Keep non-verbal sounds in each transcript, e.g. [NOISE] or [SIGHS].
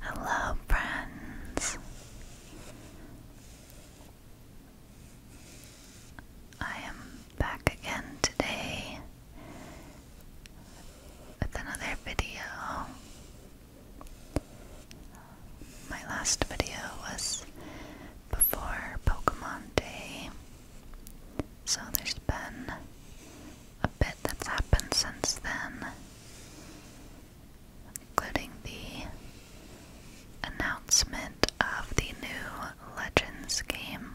Hello, friends. I am back again today with another video. My last video was before Pokemon Day, so there's there a bit that's happened since then, including the announcement of the new Legends game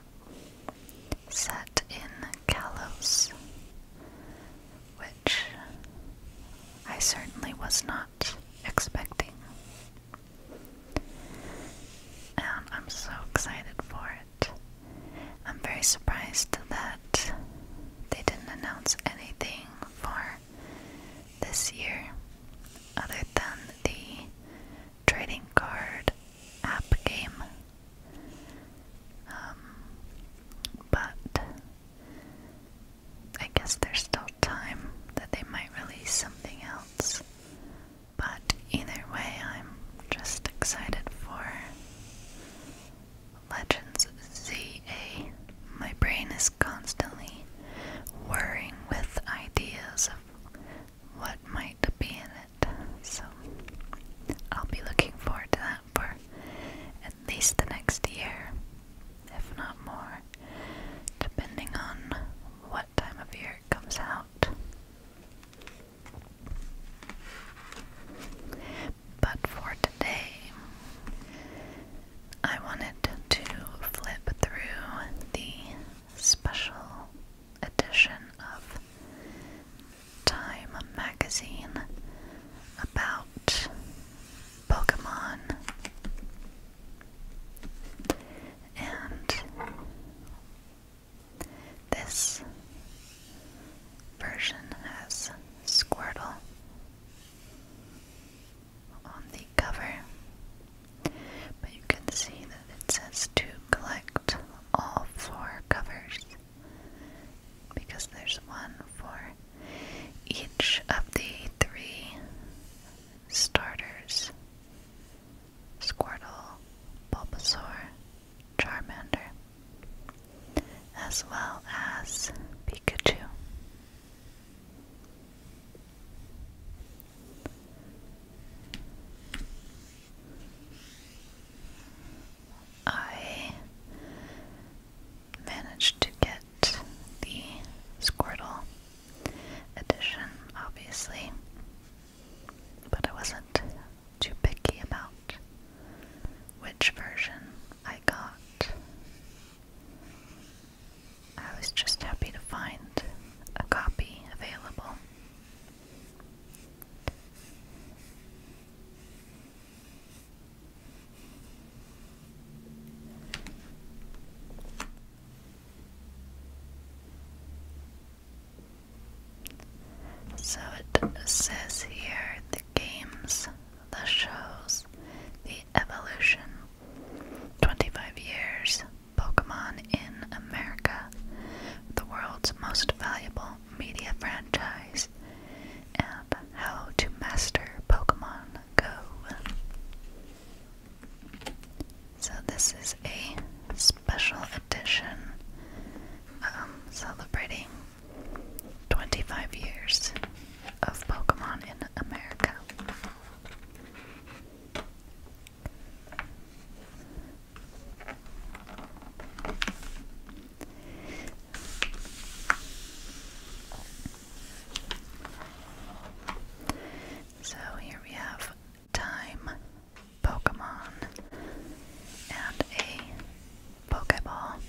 set in Kalos, which I certainly was not expecting. And I'm so excited for it. I'm very surprised that they didn't announce anything for this year other than the trading card app game. Um, but I guess there's still time that they might release something else. But either way, I'm just excited for Legends ZA. My brain is constantly worrying with ideas of what might be in it. So I'll be looking forward to that for at least the next year, if not more, depending on what time of year it comes out. But for today, I wanted to flip through the special edition of Time magazine about Pokemon. And this version has Squirtle on the cover, but you can see that it says to collect all four covers because there's one for each of the three starters Squirtle, Bulbasaur, Charmander, as well as Pikachu. I managed to get the Squirtle edition, obviously, but I wasn't too picky about which version I got. I was just happy to find a copy available. So it says here the games, the shows, the evolution. 25 years, Pokemon in America, the world's most valuable media franchise, and how to master Pokemon Go. So, this is a special edition um, celebrating 25 years of Pokemon in America. So here we have Time Pokemon, and a Pokeball.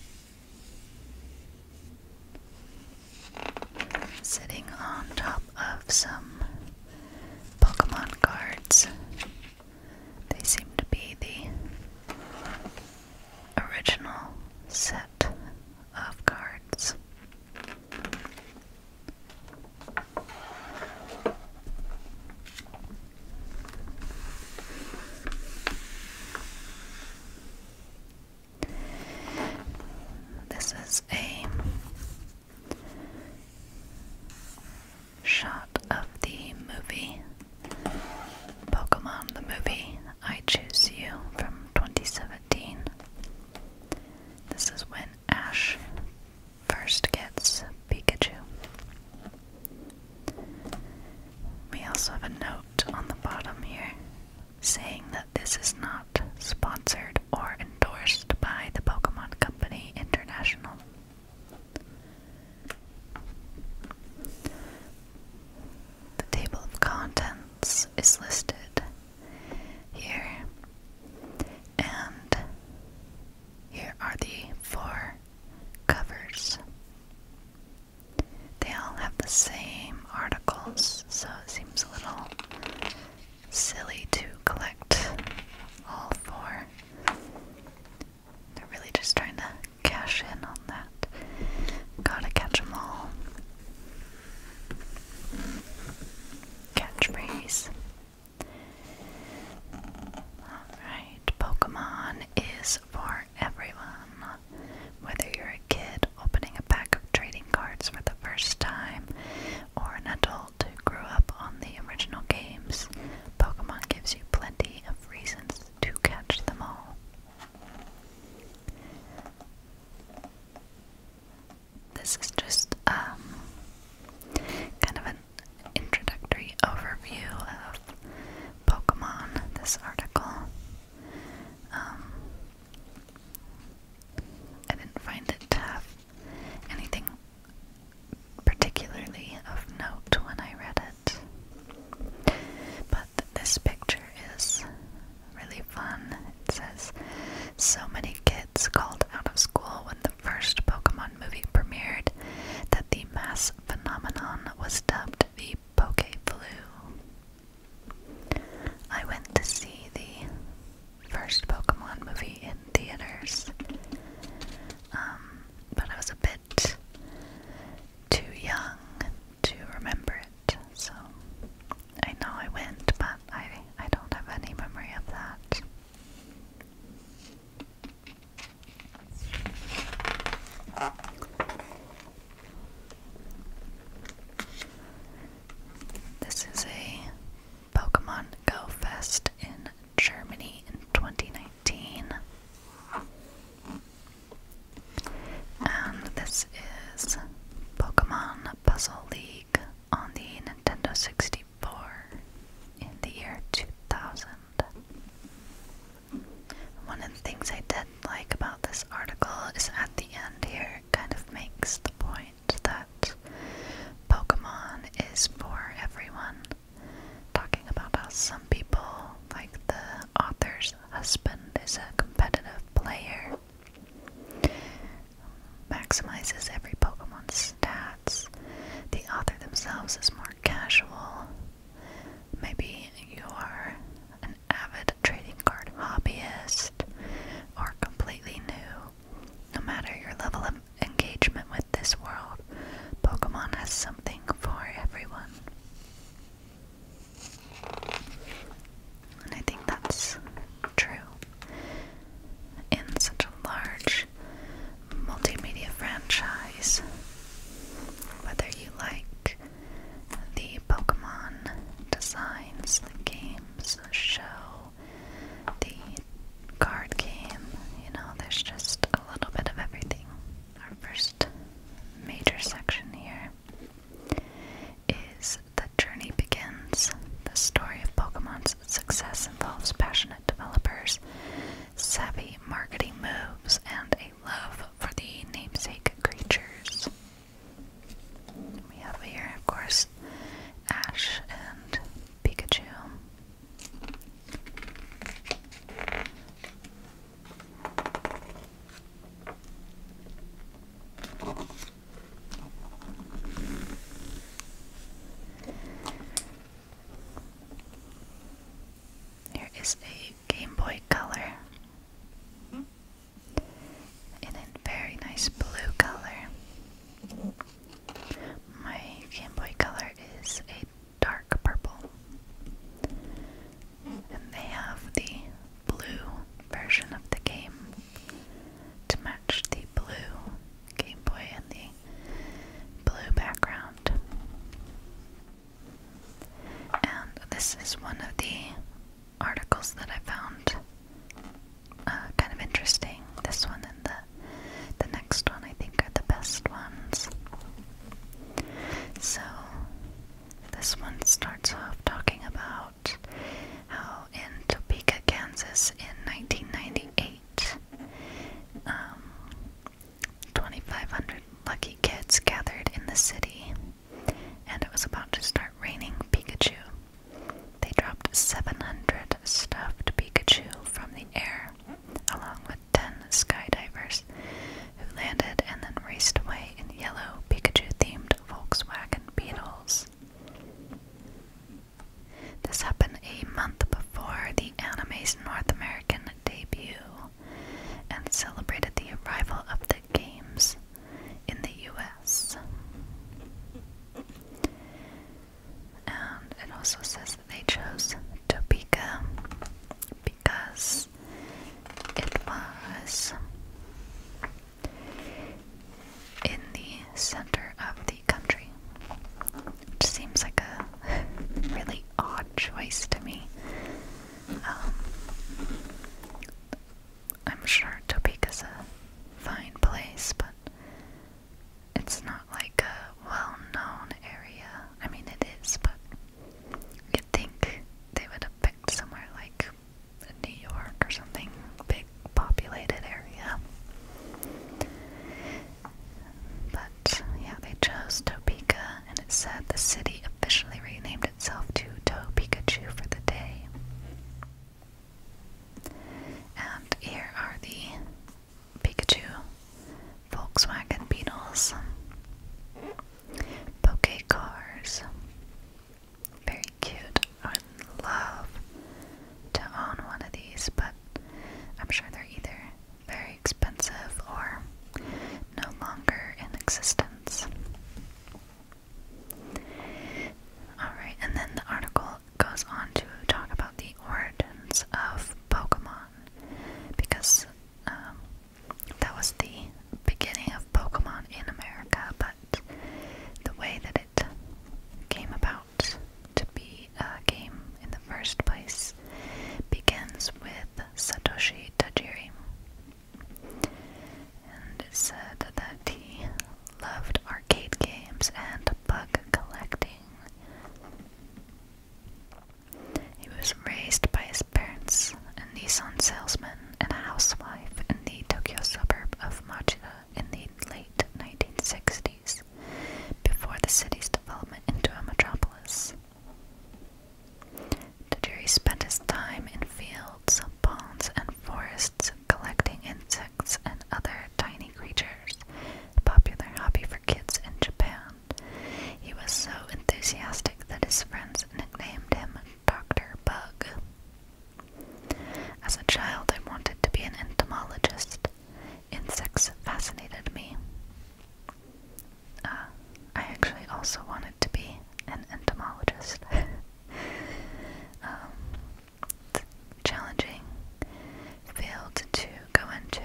Sitting on top of some Pokemon cards. They seem to be the original set of cards. This is a shot of the movie Pokemon, the movie I Choose You from 2017. This is when Ash first gets Pikachu. We also have a note on the bottom here saying that this is not sponsored or endorsed by the Pokemon Company International. The table of contents is listed here, and here are the four covers. They all have the same articles, so it seems a little silly to collect all four. They're really just trying to cash in on that. Gotta catch all. Catchphrase. Alright. Pokemon is for everyone. Whether you're a kid opening a pack of trading cards for the first time, or an adult who grew up on the original games, Pokemon gives you plenty of reasons to catch them all. This is just um, kind of an introductory overview of Pokemon, this article. Um, I didn't find it to have anything particularly of note when I read it. But this picture is really fun. It says, So many kids called out of school when the first Pokemon movie premiered that the mass this phenomenon was dubbed the poke flu. I went to see the first Pokemon movie in theaters, um, but I was a bit too young to remember it, so I know I went, but I, I don't have any memory of that. This is a Pokemon Go Fest in Germany in 2019. And this is Pokemon Puzzle League on the Nintendo 64 in the year 2000. One of the things I did like about this article is at the end here, kind of makes the point that Pokemon is for everyone. Talking about how some people, like the author's husband, is a competitive player, maximizes every Pokemon's stats. The author themselves is more casual, Maybe you are an avid trading card hobbyist or completely new. No matter your level of engagement with this world, Pokemon has something for everyone. And I think that's true. In such a large multimedia franchise. Whether you like the Pokemon designs, the games, show, the card game, you know, there's just a little bit of everything. Our first major section here is The Journey Begins. The story of Pokemon's success involves passionate developers, savvy marketing moves, and a love for the namesake creatures. We have here, of course, Ash and Pikachu. Here is a Game Boy Color in very nice blue color. My Game Boy Color is a dark purple. And they have the blue version of the game to match the blue Game Boy and the blue background. And this is one of the articles that I found uh, kind of interesting. This one and the, the next one, I think, are the best ones. So, this one starts off talking about how in Topeka, Kansas, in 1998, um, 2,500 lucky kids gathered in the city, and it was about to start raining Pikachu. They dropped 700 stuffed Pikachu from the air, along with 10 skydivers, who landed and then raced away in yellow Pikachu themed Volkswagen Beetles. This happened a month before the anime's North American debut and celebrated the arrival of the Games in the US. And it also says that they chose Topeka because it was in the center of the country, which seems like a [LAUGHS] really odd choice to me. Um, I'm sure Topeka's a fine place, but it's not like a well known area. I mean, it is, but you think they would have picked somewhere like New York or something, big populated area. But yeah, they chose Topeka and it said the city officially renamed itself to To Pikachu for the day. And here are the Pikachu Volkswagen Beetles. Poke cars. Very cute. I would love to own one of these, but I'm sure they're either very expensive or no longer in existence. Alright, and then the article goes on to talk about the origins of Pokemon because um, that was the beginning of Pokemon in America, but the way that it came about to be a game in the first place begins with with Satoshi Tajiri. And said that he loved arcade games and bug collecting. He was raised by his parents, a Nissan salesman and a housewife in the Tokyo suburb of Machida in the late 1960s, before the city's development into a metropolis. The jury spent his time in fields, ponds, and forests collecting insects and other tiny creatures, a popular hobby for kids in Japan. He was so enthusiastic that his friends nicknamed him Dr. Bug. As a child, I wanted to be an entomologist. Insects fascinated me. Uh, I actually also wanted to be an entomologist. [LAUGHS] Um, challenging field to go into,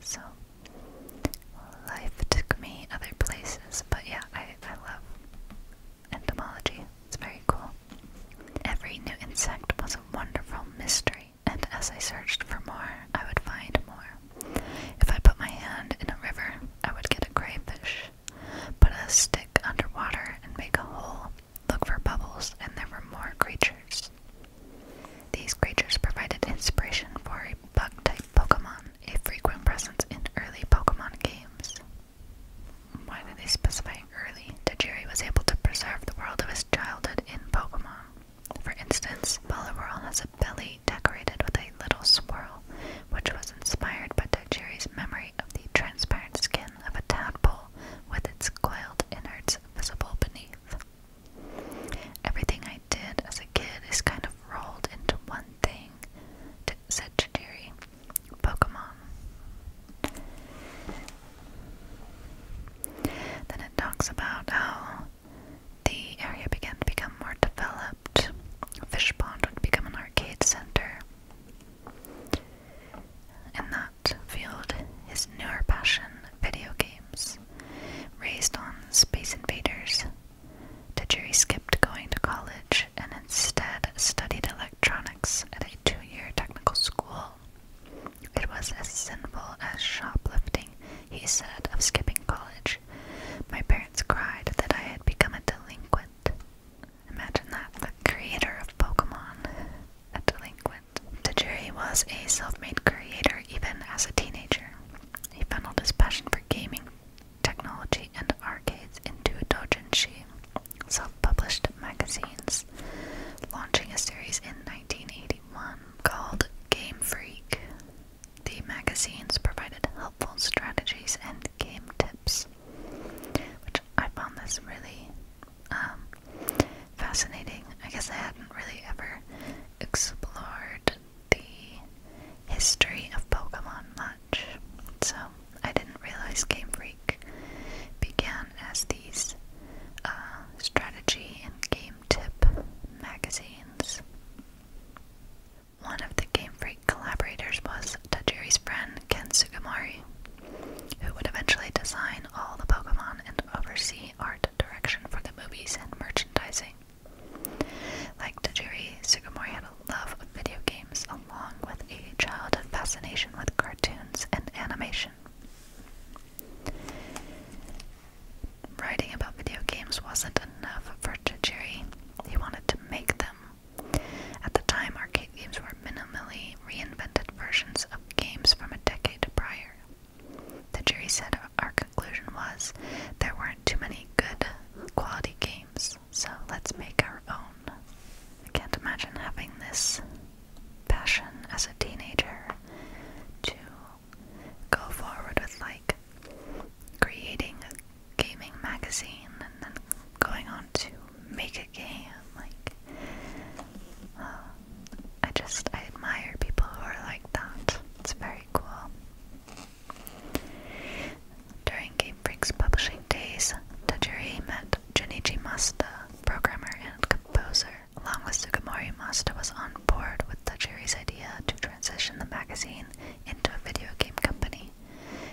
so life took me other places. But yeah, I, I love entomology. It's very cool. Every new insect was a wonderful mystery, and as I searched for more, I would find more. If I put my hand in a river, I would get a crayfish. Put a stick underwater and make a hole. Look for bubbles, and there were more creatures. These creatures provided inspiration for a bug type Pokemon, a frequent presence in early Pokemon games. Why did they specify early? Tajiri was able to preserve the world of his childhood in Pokemon. For instance, Poliwhirl has a belly decorated with a little swirl, which was inspired by Dojiri's memory of the transparent skin of a tadpole with its coiled innards visible beneath. Everything I did as a kid is kind of rolled into one thing, said Chidori. Pokemon. Then it talks about how the area began to become more developed. Fishpond would become an arcade center. In that field, his newer passion, video games, raised on Space Invaders. Tajiri skipped going to college and instead studied electronics at a two year technical school. It was as sinful as shoplifting he said of skipping college. My parents cried that I had become a delinquent. Imagine that, the creator of Pokemon, a delinquent. Tajiri was a self made creator even as a teenager. He funneled his passion for gaming, technology, and arcades into doujinshi, self published magazines, launching a series in 1981 called Game Freak. The magazines provided helpful strategies and game tips, which I found this really um, fascinating. I guess I hadn't really ever explored the history of Pokemon much, so I didn't realize Game Freak began as these uh, strategy and game tip magazines. One of the Game Freak collaborators was Tajiri's friend Ken Sugimori, who would eventually design all the Pokemon and oversee art direction for the movies and merchandising. Like Tajiri, Sugimori had a love of video games along with a childhood fascination with cartoons and animation writing about video games wasn't enough for Jerry. He wanted to make them. At the time, arcade games were minimally reinvented versions of games from a decade prior. The jury said our conclusion was there weren't too many good quality games, so let's make our own. I can't imagine having this passion as a teenager to go forward with like creating a gaming magazine and then going on to make a game. Like, uh, I just I admire people who are like that. It's very cool. During Game Freak's publishing days, Tajiri met Junichi Masta, programmer and composer. Along with Sugimori, Masta was on board with Tajiri's idea to transition the magazine into a video game company.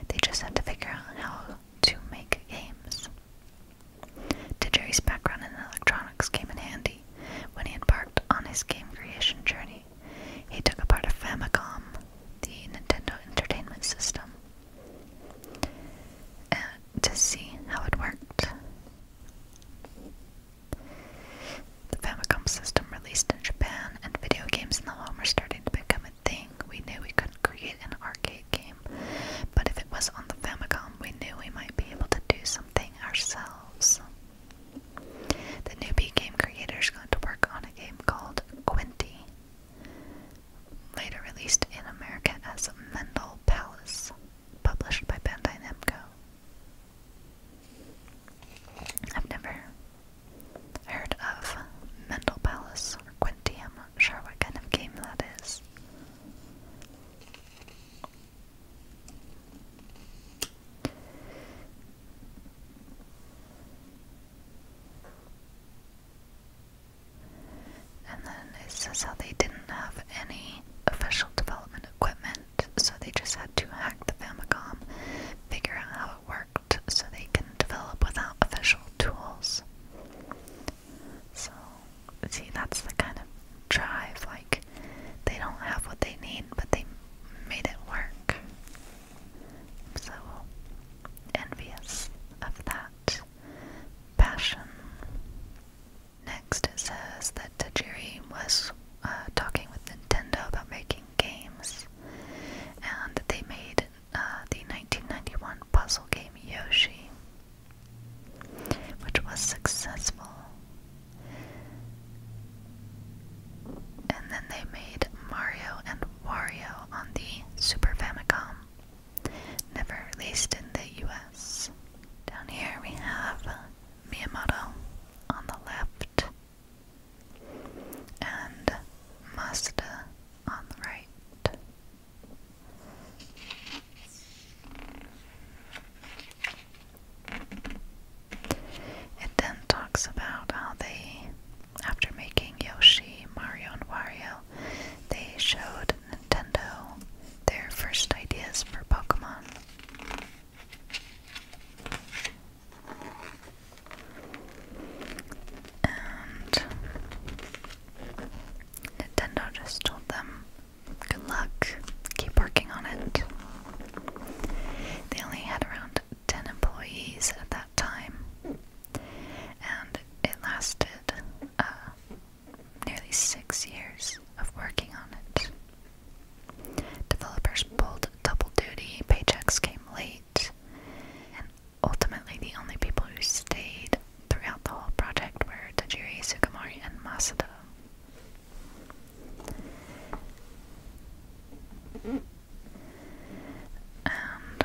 They just had to figure out how to make games. Didgery's background in electronics came in handy when he embarked on his game creation journey. He took apart a Famicom, the Nintendo Entertainment System, uh, to see how it worked. The Famicom system released in Japan, and video games in the home were starting to become a thing. We knew we couldn't create an arcade game, but if it was on the Famicom, we knew we might be able to do something ourselves. The newbie game creators got to work on a game called Quinty, later released in America as Mendel Palace, published by Bandai Namco. I've never heard of Mental Palace or Quinty. I'm not sure what kind of game that is. And then it says how they didn't have any official development equipment so they just had to hack the Famicom, figure out how it worked, so they can develop without official tools. So, see, that's the kind of drive, like, they don't have what they need, but they made it work. so envious of that passion. Next, it says that Tajiri was uh, talking with Nintendo about making games, and they made uh, the 1991 puzzle game Yoshi, which was successful. And then they made Mario and Wario on the Super Famicom, never released in the US. Down here we have Miyamoto on the left, and Mazda on the right. It then talks about how they, after making Yoshi, Mario, and Wario, they showed Nintendo their first ideas for Pokemon. Nintendo just told them, good luck, keep working on it. They only had around 10 employees at that time, and it lasted uh, nearly six years of working on it. Developers pulled double duty, paychecks came late, and ultimately the only people who stayed throughout the whole project were Tajiri, Sukumori, and Masada. And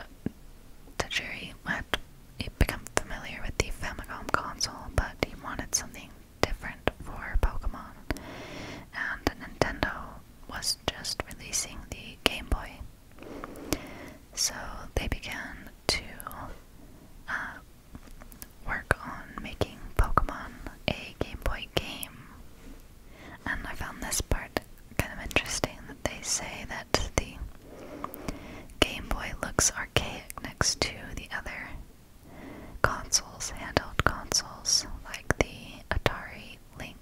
Tajiri had become familiar with the Famicom console, but he wanted something different for Pokemon, and Nintendo was just releasing the Game Boy. So they began to uh, work on making Pokemon a Game Boy game. And I found this part kind of interesting that they say that the Game Boy looks archaic next to the other consoles, handheld consoles, like the Atari Lynx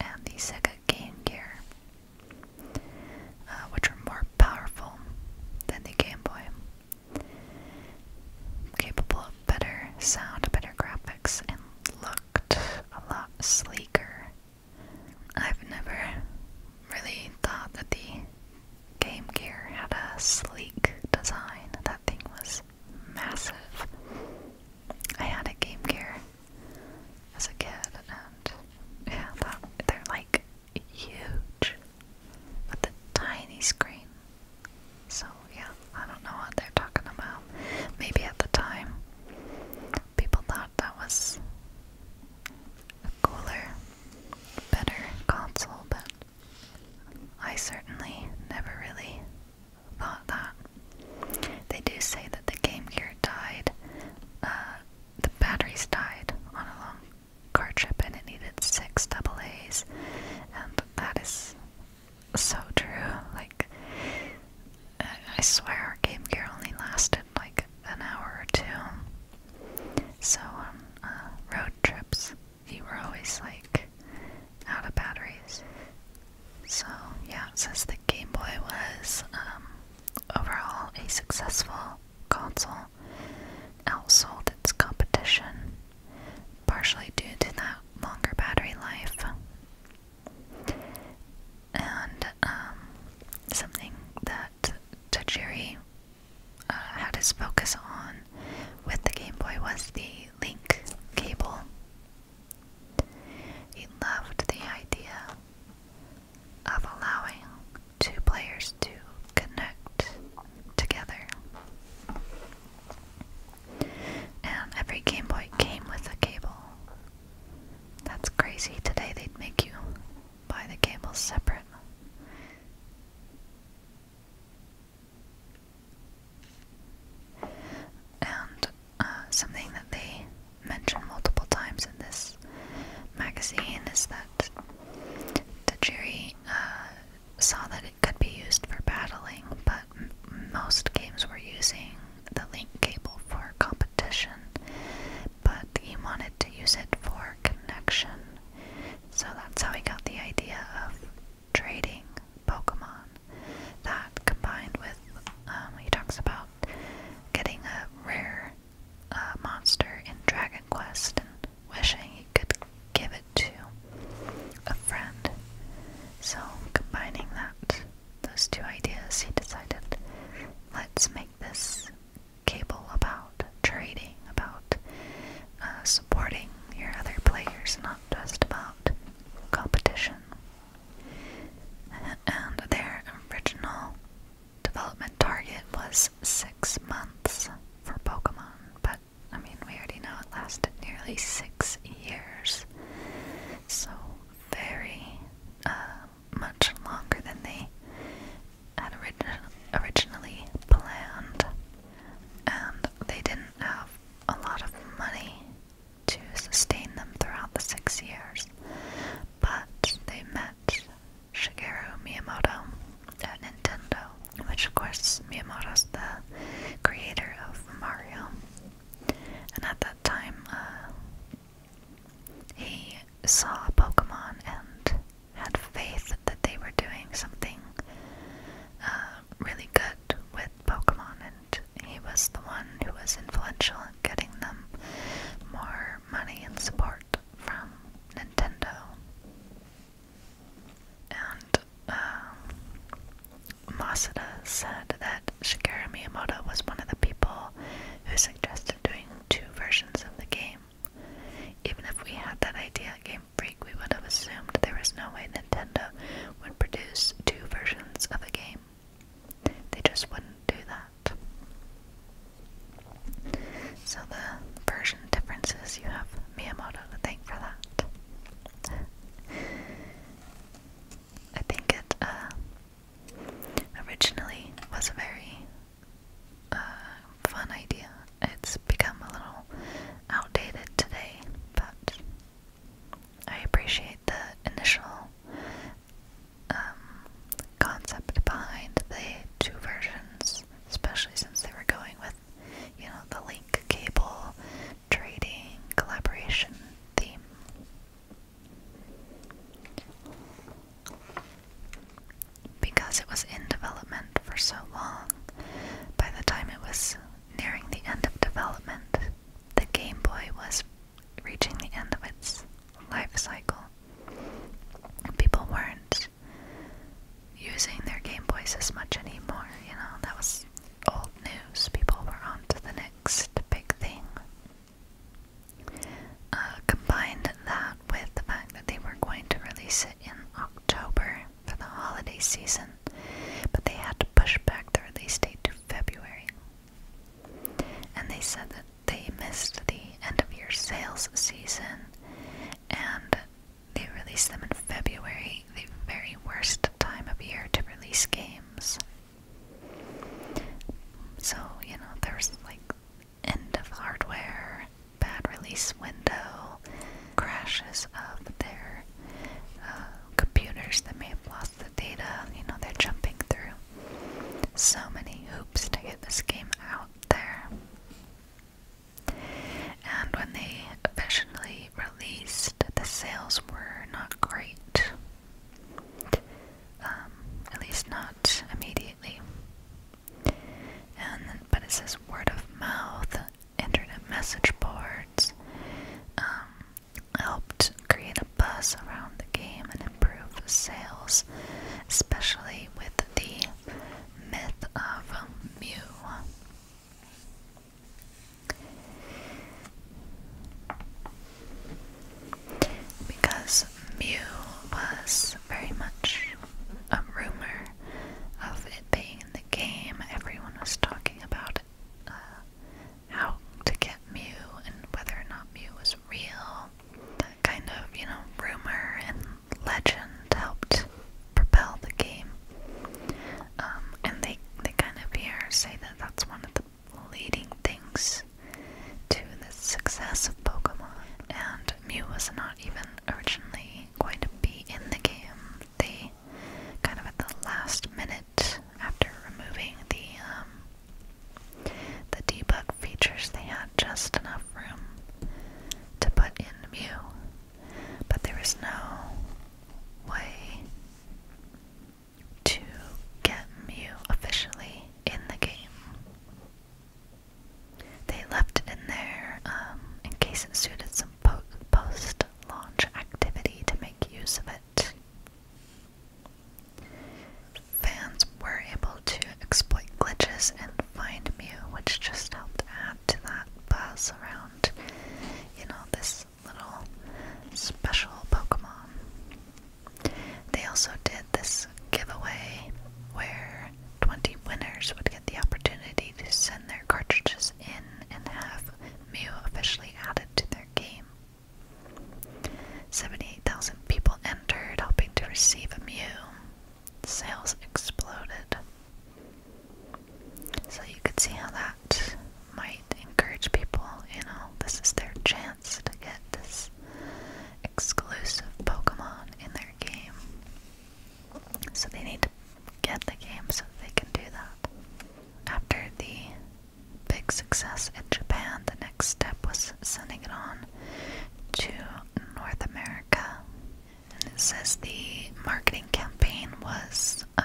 and the Sega Game Gear, uh, which were more powerful than the Game Boy, capable of better sound, better graphics, and looked a lot sleeker. I've never really thought that the Game Gear had a sleek design. That thing was massive. I had a Game Gear as a kid, and yeah, that, they're like huge with a tiny screen. So, yeah, I don't know what they're talking about. Maybe at the time, people thought that was a cooler, better console, but I certainly never really thought that. They do say that the Game Gear died, uh, the batteries died on a long car trip and it needed six double A's, and that is so true. Like, I swear our Game Gear only lasted like an hour or two. So on um, uh, road trips, you were always like out of batteries. So, yeah, Since the Game Boy was um, overall a successful console, outsold its competition, partially due to that longer battery life. And um, something that Tajiri uh, had his focus on with the Game Boy was the link cable he loved the idea of allowing two players to connect together. And every Game Boy came with a cable. That's crazy. Today they'd make you buy the cables separate. And uh, something that they mentioned multiple times in this magazine is that the jury uh, saw that it could be used for battling, but most games were using the link cable for competition, but he wanted to use it for connection. So that's how he got the idea of trading Pokemon. That combined with, um, he talks about getting a rare uh, monster in Dragon Quest and wishing he could give it to a friend. So, combining that, those two ideas, he decided let's make this cable about trading, about uh, supporting your other players, not just about competition and their original development target was six months for Pokemon, but I mean, we already know it lasted nearly six years, so very uh, much longer than they had origi originally planned, and they didn't have a lot of money to sustain them throughout the six years, but they met Shigeru Miyamoto at Nintendo, which of course Miyamoto's the creator of Mario. And at that time, uh, he saw Pokemon and had faith that they were doing something uh, really good with Pokemon he was the one who was influential in getting them more money and support from Nintendo. And um, said that Shigeru Miyamoto was one of the people who suggested doing two versions of the game. Even if we had that idea at Game Freak, we would have assumed there was no way Nintendo would produce two versions of a game. They just wouldn't do that. So the version differences, you have Miyamoto to thank for that. I think it uh, originally was a very uh, fun idea. It's become a little outdated today, but I appreciate the initial um, concept behind the two versions, especially since they were going with, you know, the link cable trading collaboration theme. Because it was in development for so long, by the time it was nearing the end of development, the Game Boy was reaching the end of its life cycle. People weren't using their Game Boys as much anymore, you know, that was old news. People were on to the next big thing. Uh, combined that with the fact that they were going to release it in October for the holiday season, but they had to push back the release date to February. And they said that they missed the end of year sales season and they released them in February, the very worst time of year to release games. So, you know, there was like end of hardware, bad release window, crashes of their uh, computers that may have lost the data, you know, they're jumping through so many hoops to get this game out there. And when they officially released, the sales were not great. Um, at least not immediately. And but it says word of mouth, internet message boards, um, helped create a buzz around the game and improve sales, especially with the myth of Mew. Because Mew was very much a rumor of it being in the game, everyone was talking about it. Uh, how to get Mew and whether or not Mew was real. That kind of, you know, rumor and legend helped propel the game. Um, and they, they kind of here say that that's one of the leading things to the success of Pokemon. And Mew was not even originally going to be in the game. They kind of at the last minute after removing the um, the debug features. They had just enough room to put in Mew, but there no way to get Mew officially in the game. They left it in there um, in case it suited some post launch activity to make use of it fans were able to exploit glitches and find Mew, which just helped add to that buzz around, you know, this little special Pokemon. They also did this giveaway where 20 winners would get the opportunity to send their cartridges in and have Mew officially added to their game. 78,000 people entered, hoping to receive a Mew. Sales exploded. So you could see how that might encourage people, you know, this is their chance to get this exclusive Pokemon in their game. So they need to get the game so they can do that. After the big success in Japan, the next step was sending it on to North America. And it says the marketing campaign was uh,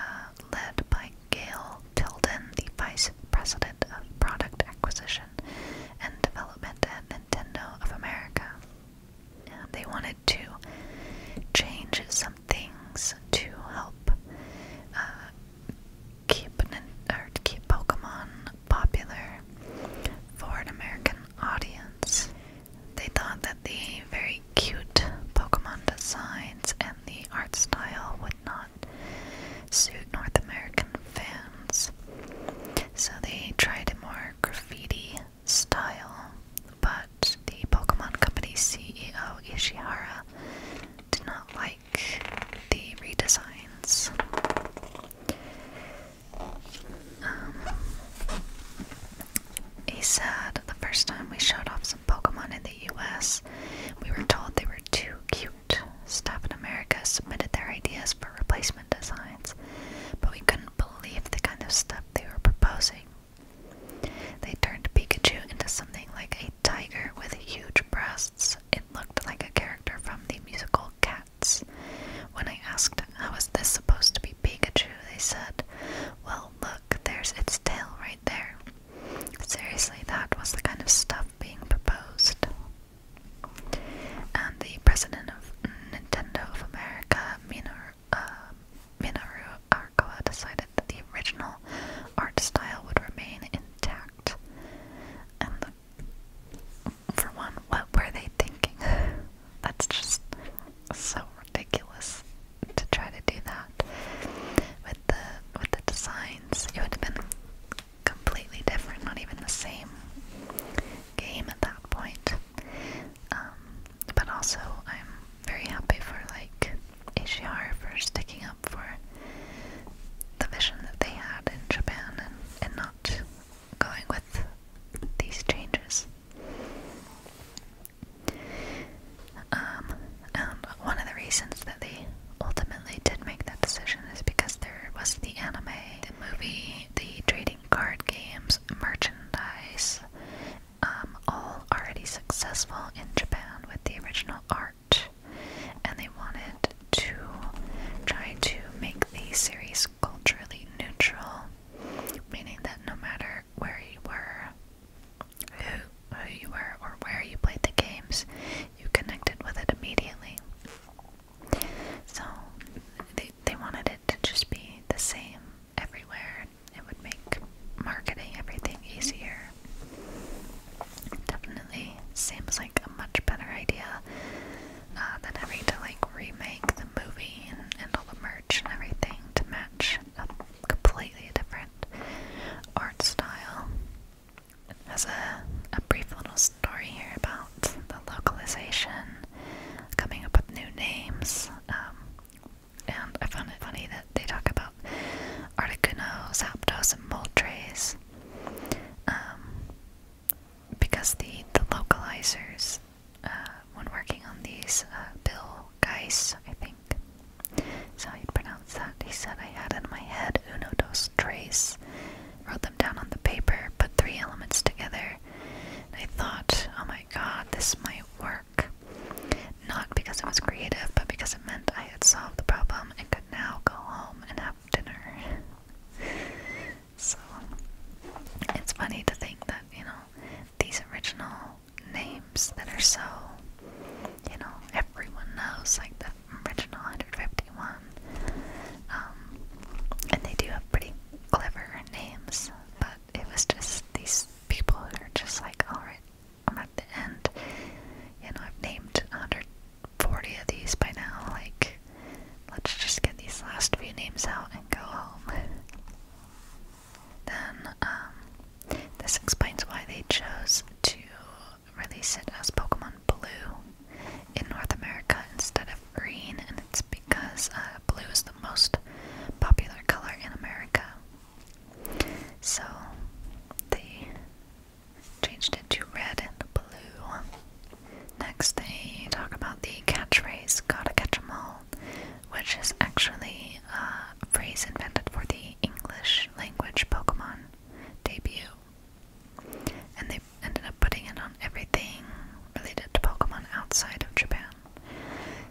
led by Gail Tilden, the Vice President of Product Acquisition and Development at Nintendo of America. they wanted to change some things to help uh, keep to keep Pokemon popular for an American audience. They thought that the very cute Pokemon designs and the art style would not suit North American fans. So they tried a more graffiti style, but the Pokemon Company CEO Ishihara did not like the redesigns. Um, he said the first time we showed off some Pokemon in the US, we were told they were too cute. Staff in America submitted their ideas for replacement designs, but we couldn't believe the kind of stuff they were proposing. They turned Pikachu into something like a tiger with huge breasts it looked like a character from the musical Cats. When I asked, how is this supposed to be Pikachu, they said, well, look, there's its tail right there. Seriously, that was the kind of stuff being proposed. And the president of Nintendo of America, Minoru, uh, Minoru Arakawa, decided that the original art style would remain intact. And for one, what were they thinking? [SIGHS] That's just so ridiculous to try to do that with the with the designs. It would have been completely different, not even the same game at that point. Um, but also, I'm very happy for like AGR for sticking up for the vision that they had in Japan and, and not going with these changes. Um, and one of the reasons that they ultimately did make that decision is because there was the anime, the movie, the trading card games, merchandise, um, all already successful in Japan with the original art and they wanted to try to make the series culturally neutral, meaning that no matter where you were, who, who you were, or where you played the games, you connected with it immediately. So they, they wanted it to just be the same everywhere. It would make marketing everything easier Definitely seems like a much better idea uh, than having to like remake the movie and, all the merch and everything to match a completely different art style. It has a, brief little story here about the localization, coming up with new names, um, and I found it funny that they talk about about Articuno, Zapdos, and Moltres. Um, because the, the localizers, uh, when working on these, uh, Bill Geis, I think, is how you pronounce that. He said, I had in my head uno, dos, tres, wrote them down on the paper, put three elements together, I thought, oh my god, this might work. Not because it was creative, but because it meant I had solved the problem and could now go home and have dinner. so it's funny to think that, you know, these original names that are so, you know, everyone knows, like the original 151, um, and they do have pretty clever names, but it was just these people who are just like, alright, I'm at the end. You know, I've named 140 of these by now. Like, let's just get these last few names out and go home. then, um, this explains why they chose to release it as Pokemon Blue in North America instead of green, and it's because uh, blue is the most popular color in America. So they Changed it to red and blue. Next, they talk about the catchphrase, gotta catch 'em all, which is actually a phrase invented for the English language Pokemon debut. And they ended up putting it on everything related to Pokemon outside of Japan.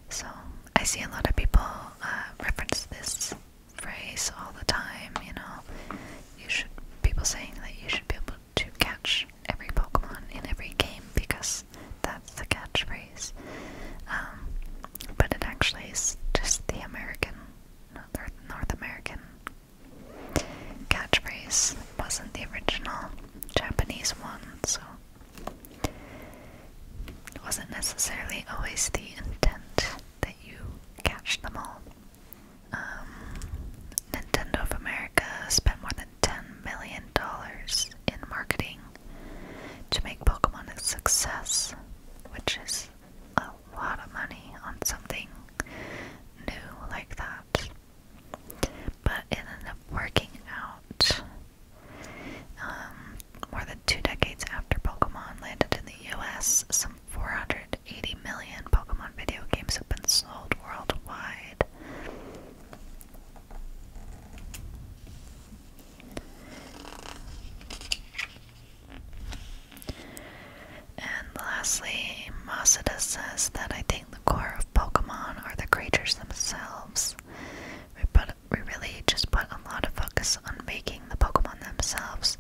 So, I see a lot of people uh, reference this phrase all the time, you know. You should people saying that you should be able to catch every Pokemon in every game because that's the catchphrase. Um, but it actually is just the American, North, American catchphrase. It wasn't the original Japanese one, so it wasn't necessarily always the intent that you catch them all. Um, Nintendo of America spent more than $10 million in marketing to make Pokemon a success, which is a lot of money on something new like that. But it ended up working out. Um, more than two decades after Pokemon landed in the US, some 400 180 million Pokemon video games have been sold worldwide. And lastly, Masada says that I think the core of Pokemon are the creatures themselves. We, put, we really just put a lot of focus on making the Pokemon themselves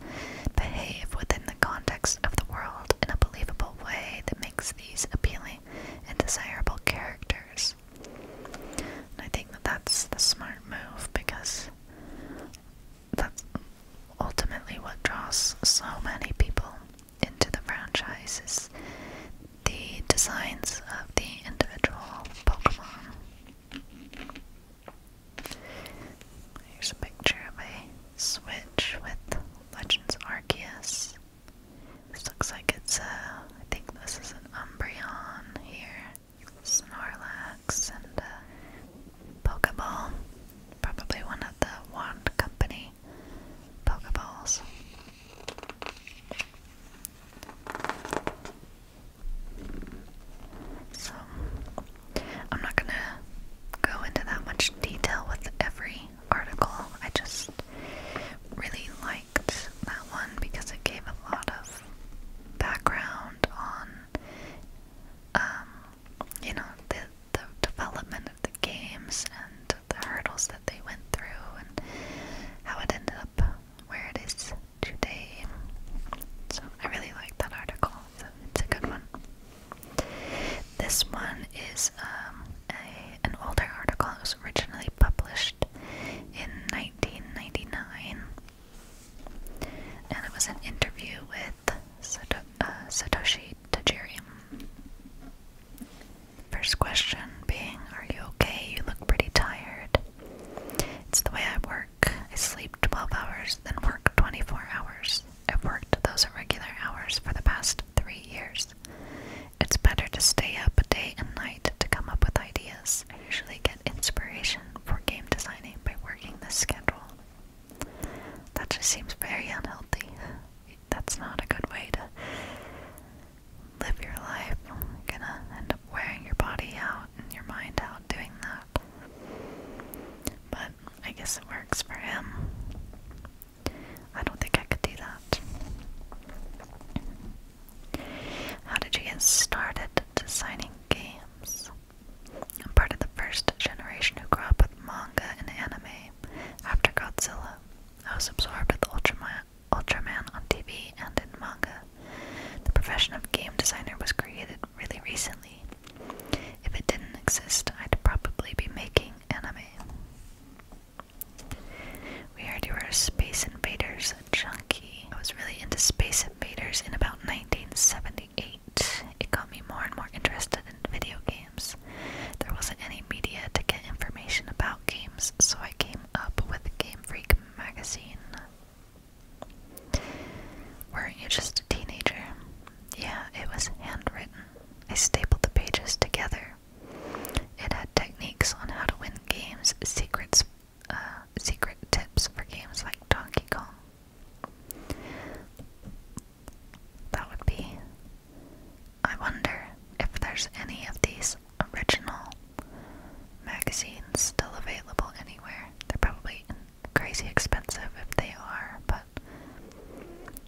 behave within the context of the world in a believable way that makes these appealing and desirable characters. I think that that's the smart move because that's ultimately what draws so many people into the franchise is the designs of the individual Pokemon. Here's a picture of a Switch with Legends Arceus. This looks like it's a. Uh, I think this is an Umbreon here. Snorlax and a uh, Pokeball. Probably one of the Wand Company Pokeballs. So I'm not gonna go into that much detail with every article. I just really liked that one because it gave a lot of background on, um, you know, the development of the games and the hurdles that they went through and how it ended up where it is today. So I really liked that article. it's a good one. This one is um, an older article. that was originally published in 1999, and it was an interview with uh, Satoshi Tajiri. First question being, Are you okay? You look pretty tired. It's the way I work. I sleep 12 hours, then work 24 hours. I've worked those irregular hours for the past three years. It's better to stay up day and night to come up with ideas. I usually get inspiration for game designing by working this schedule. That just seems very unhealthy. That's not a good way to live your life. gonna end up wearing your body out and your mind out doing that. But I guess it works for him. I don't think I could do that. How did you get started designing games? I'm part of the first generation who grew up with manga and anime. After Godzilla, I was absorbed with Ultraman, on TV and in manga. The profession of game designer was created really recently. If it didn't exist, I'd probably be making anime. We heard you were a Space Invaders junkie. I was really into Space Invaders in about 1978. It got me more and more interested in video games. There wasn't any media to get information about games, so I came up with Game Freak magazine. Weren't you just a teenager? Yeah, it was handwritten. I stapled the pages together. It had techniques on how to win games, secrets, uh, secret tips for games like Donkey Kong. That would be. I wonder if there's any of these original magazines still available anywhere. They're probably crazy expensive if they are, but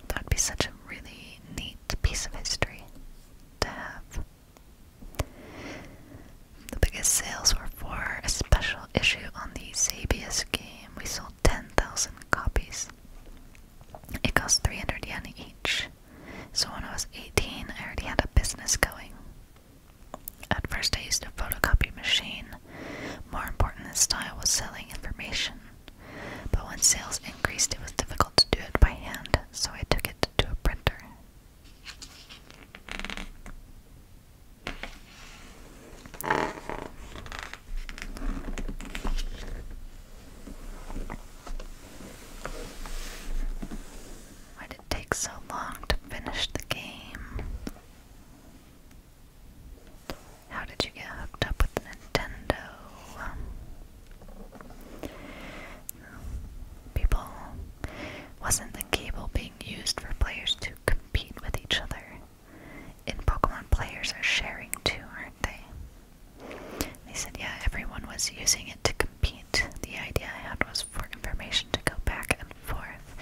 that would be such a really neat piece of history to have. The biggest sales were for a special issue on the Sabius game. We sold 10,000 copies. It cost 300 yen each. So when I was 18, I already had a business going. At first, I used a photocopy machine, more important than style was selling information. But when sales increased, it was difficult to do it by hand, so I took it to a printer. Why did it take so long to finish the game? How did you get hooked up with Nintendo? Um, people. Wasn't the cable being used for players to compete with each other? In Pokemon, players are sharing too, aren't they? They said, yeah, everyone was using it to compete. The idea I had was for information to go back and forth.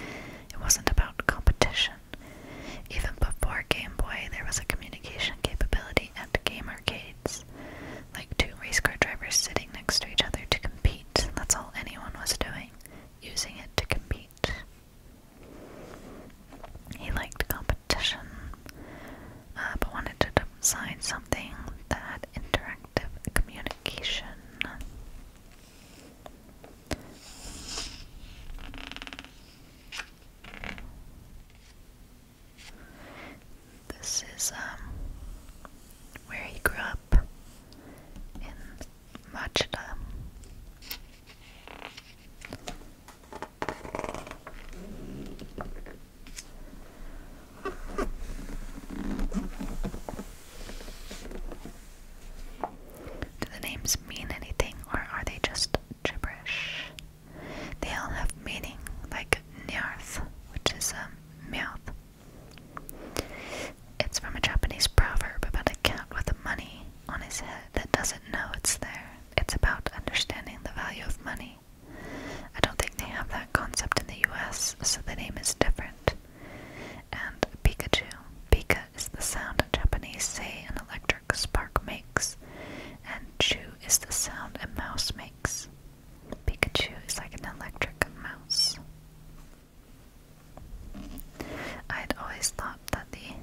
It wasn't about competition. Even before Game Boy, there was a communication capability at game arcades, like two race car drivers sitting next to each other to compete. That's all anyone was doing, using it to compete. He liked competition, uh, but wanted to design something that interactive communication. This is um, where he grew up in Machida. Do the names mean anything or are they just gibberish? They all have meaning, like nyarth, which is a mouth. It's from a Japanese proverb about a cat with money on his head that doesn't know it's there. It's about understanding the value of money. I don't think they have that concept in the US, so the name is different. And Pikachu. Pikachu is the sound a Japanese say an electric spark makes, and chu is the sound a mouse makes. Pikachu is like an electric mouse. I had always thought that the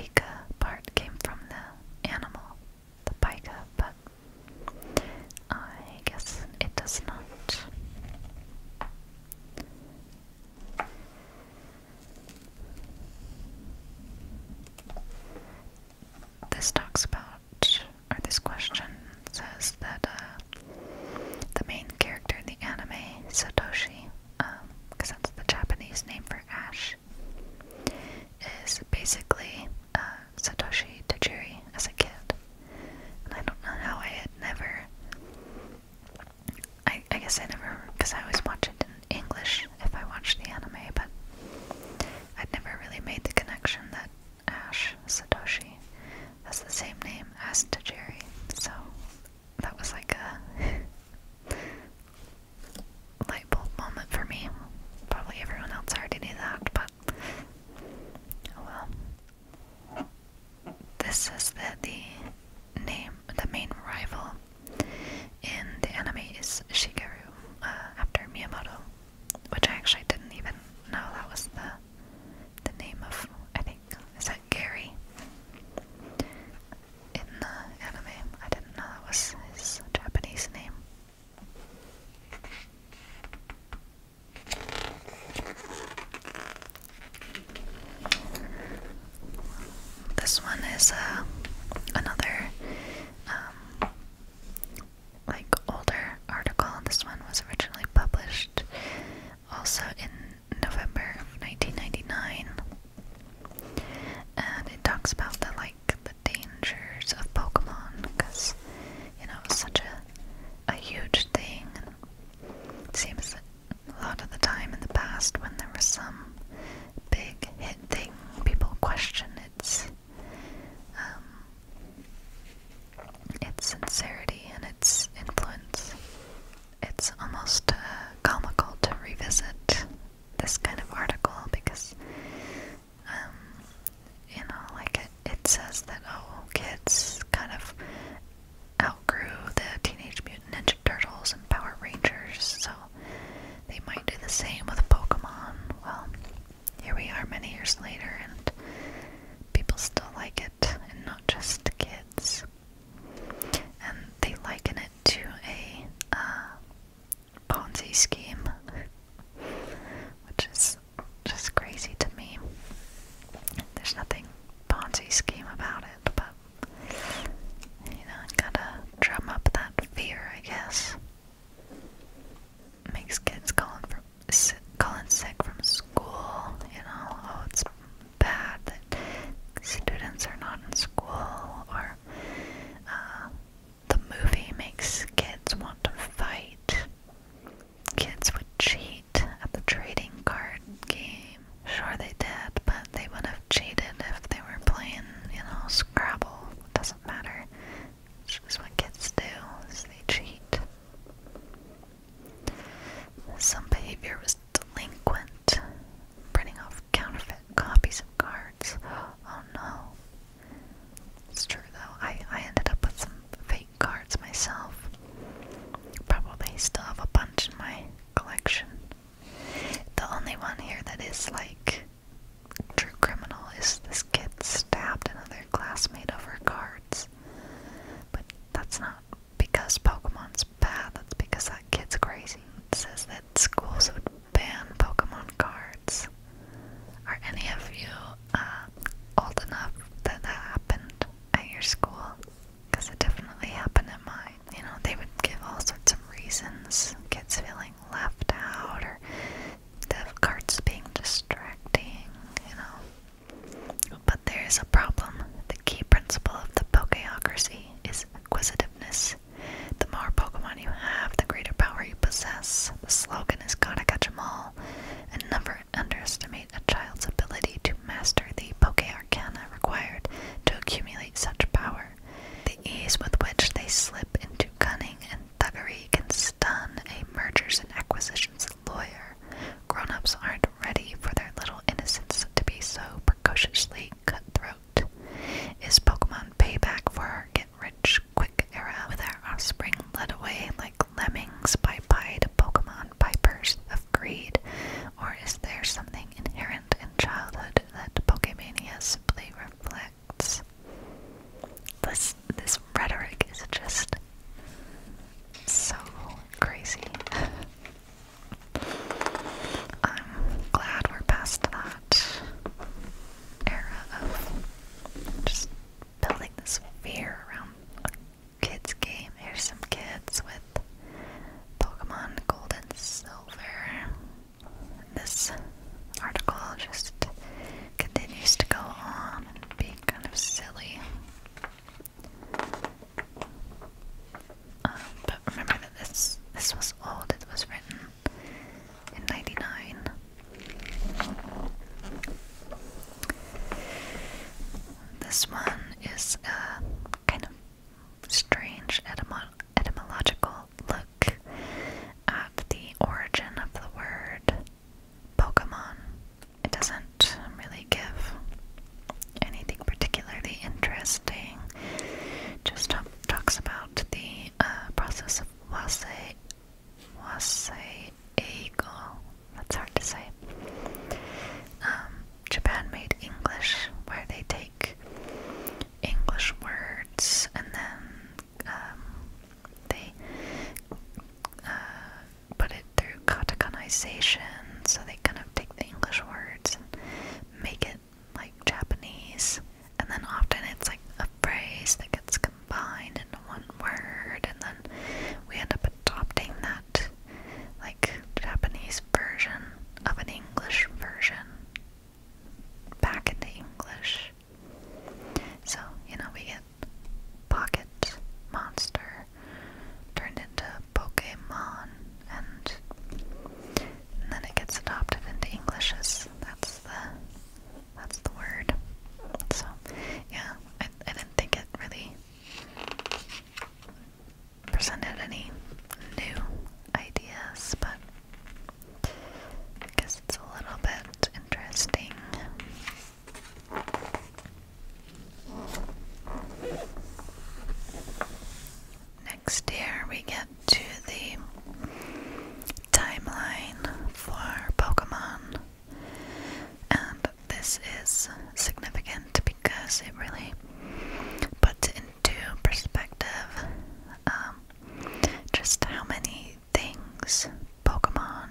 pika part came from the animal, the pika, but I guess it does not. This talks about, or this question says that uh, the main character in the anime, Satoshi, because um, that's the Japanese name for Ash, is basically uh, Satoshi Tajiri as a kid. I don't know how I had never I, guess I never, because I always watch it in English if I watch the anime, but I'd never really made the connection that Ash Satoshi has the same name as Tajiri, so that was like a [LAUGHS] light bulb moment for me. Probably everyone else already knew that, but oh well. This says that the name the main rival in the anime is Shigeru, uh, after Miyamoto, which I actually didn't even know that was the the name of. I think is that Gary in the anime. I didn't know that was his Japanese name. This one is uh, another um, like older article. This one was originally published also in November of 1999, and it talks about the like the dangers of Pokemon because you know it's such a a huge thing. seems a lot of the time in the past, when there was some big hit thing, people question its um, its sincerity and its influence. It's almost uh, comical to revisit this kind of article because, um, you know, like it, it says that oh, kids kind of outgrew the Teenage Mutant. Ninja Turtles and Power Rangers, so they might do the same with Pokemon. Well, here we are many years later, and people still like it, and not just kids. And they liken it to a uh, Ponzi scheme, which is just crazy to me. There's nothing Ponzi scheme about it, but you know, gotta drum up that fear, I guess. Makes kids calling from sick, calling sick from school. You know, oh, it's bad that students are not in school, or uh, the movie makes kids want to fight. Kids would cheat at the trading card game. Sure they did, but they would have cheated if they were playing, you know, Scrabble. doesn't matter. It's just what kids do, they cheat. Some behavior was delinquent. Printing off counterfeit copies of cards. Oh no. It's true though. I, I ended up with some fake cards myself. Probably still have a bunch in my collection. The only one here that is like true criminal is this kid stabbed another classmate over cards. But that's not because Pokemon's bad, that's because that kid's crazy. It says that schools would ban Pokemon cards. Are any of you uh, old enough that that happened at your school? Because it definitely happened at mine you know, they would give all sorts of reasons kids feeling left out or the carts being distracting, you know. But there is a problem. The key principle of the Pokeocracy is acquisitiveness. The more Pokemon you have, the greater power you possess. The slogan is gotta catch 'em all, and never underestimate a child's ability to master the Poke Arcana required to accumulate such power. The ease with which they slip into cunning and thuggery can stun a mergers and acquisitions lawyer. Grown ups aren't ready for their little innocents to be so precociously cutthroat. Is Pokemon payback for our get rich quick era with our offspring led away like lemmings by pied Pokemon pipers of greed? Or is there something inherent in childhood that Pokemania simply reflects this this rhetoric is just so crazy. [LAUGHS] I'm glad we're past that era of just building this fear around kids game. Here's some kids with Pokemon Gold and Silver this article just continues to go on and be kind of silly. Um, but remember that this this was old. It was written in '99. This one is a uh, kind of strange etymological look at the origin of the word Pokemon. It doesn't really give anything particularly interesting, just talks about the uh, process of wasai wasai eagle. That's hard to say. Um, Japan made English, where they take English words, and then um, they uh, put it through katakanaization, so they kind of take the English words and make it like Japanese, and then often it's like a phrase that gets combined into one word, and then we end up adopting that like Japanese version of an English version back into English. So, you know, we get Pocket Monster turned into Pokemon, and, then it gets adopted into English as that's the that's the word. So, yeah, I, I didn't think it really presented any new ideas, but I guess it's a little bit interesting. Next year we get to the timeline for Pokemon, and this is significant because it really puts into perspective um, just how many things Pokemon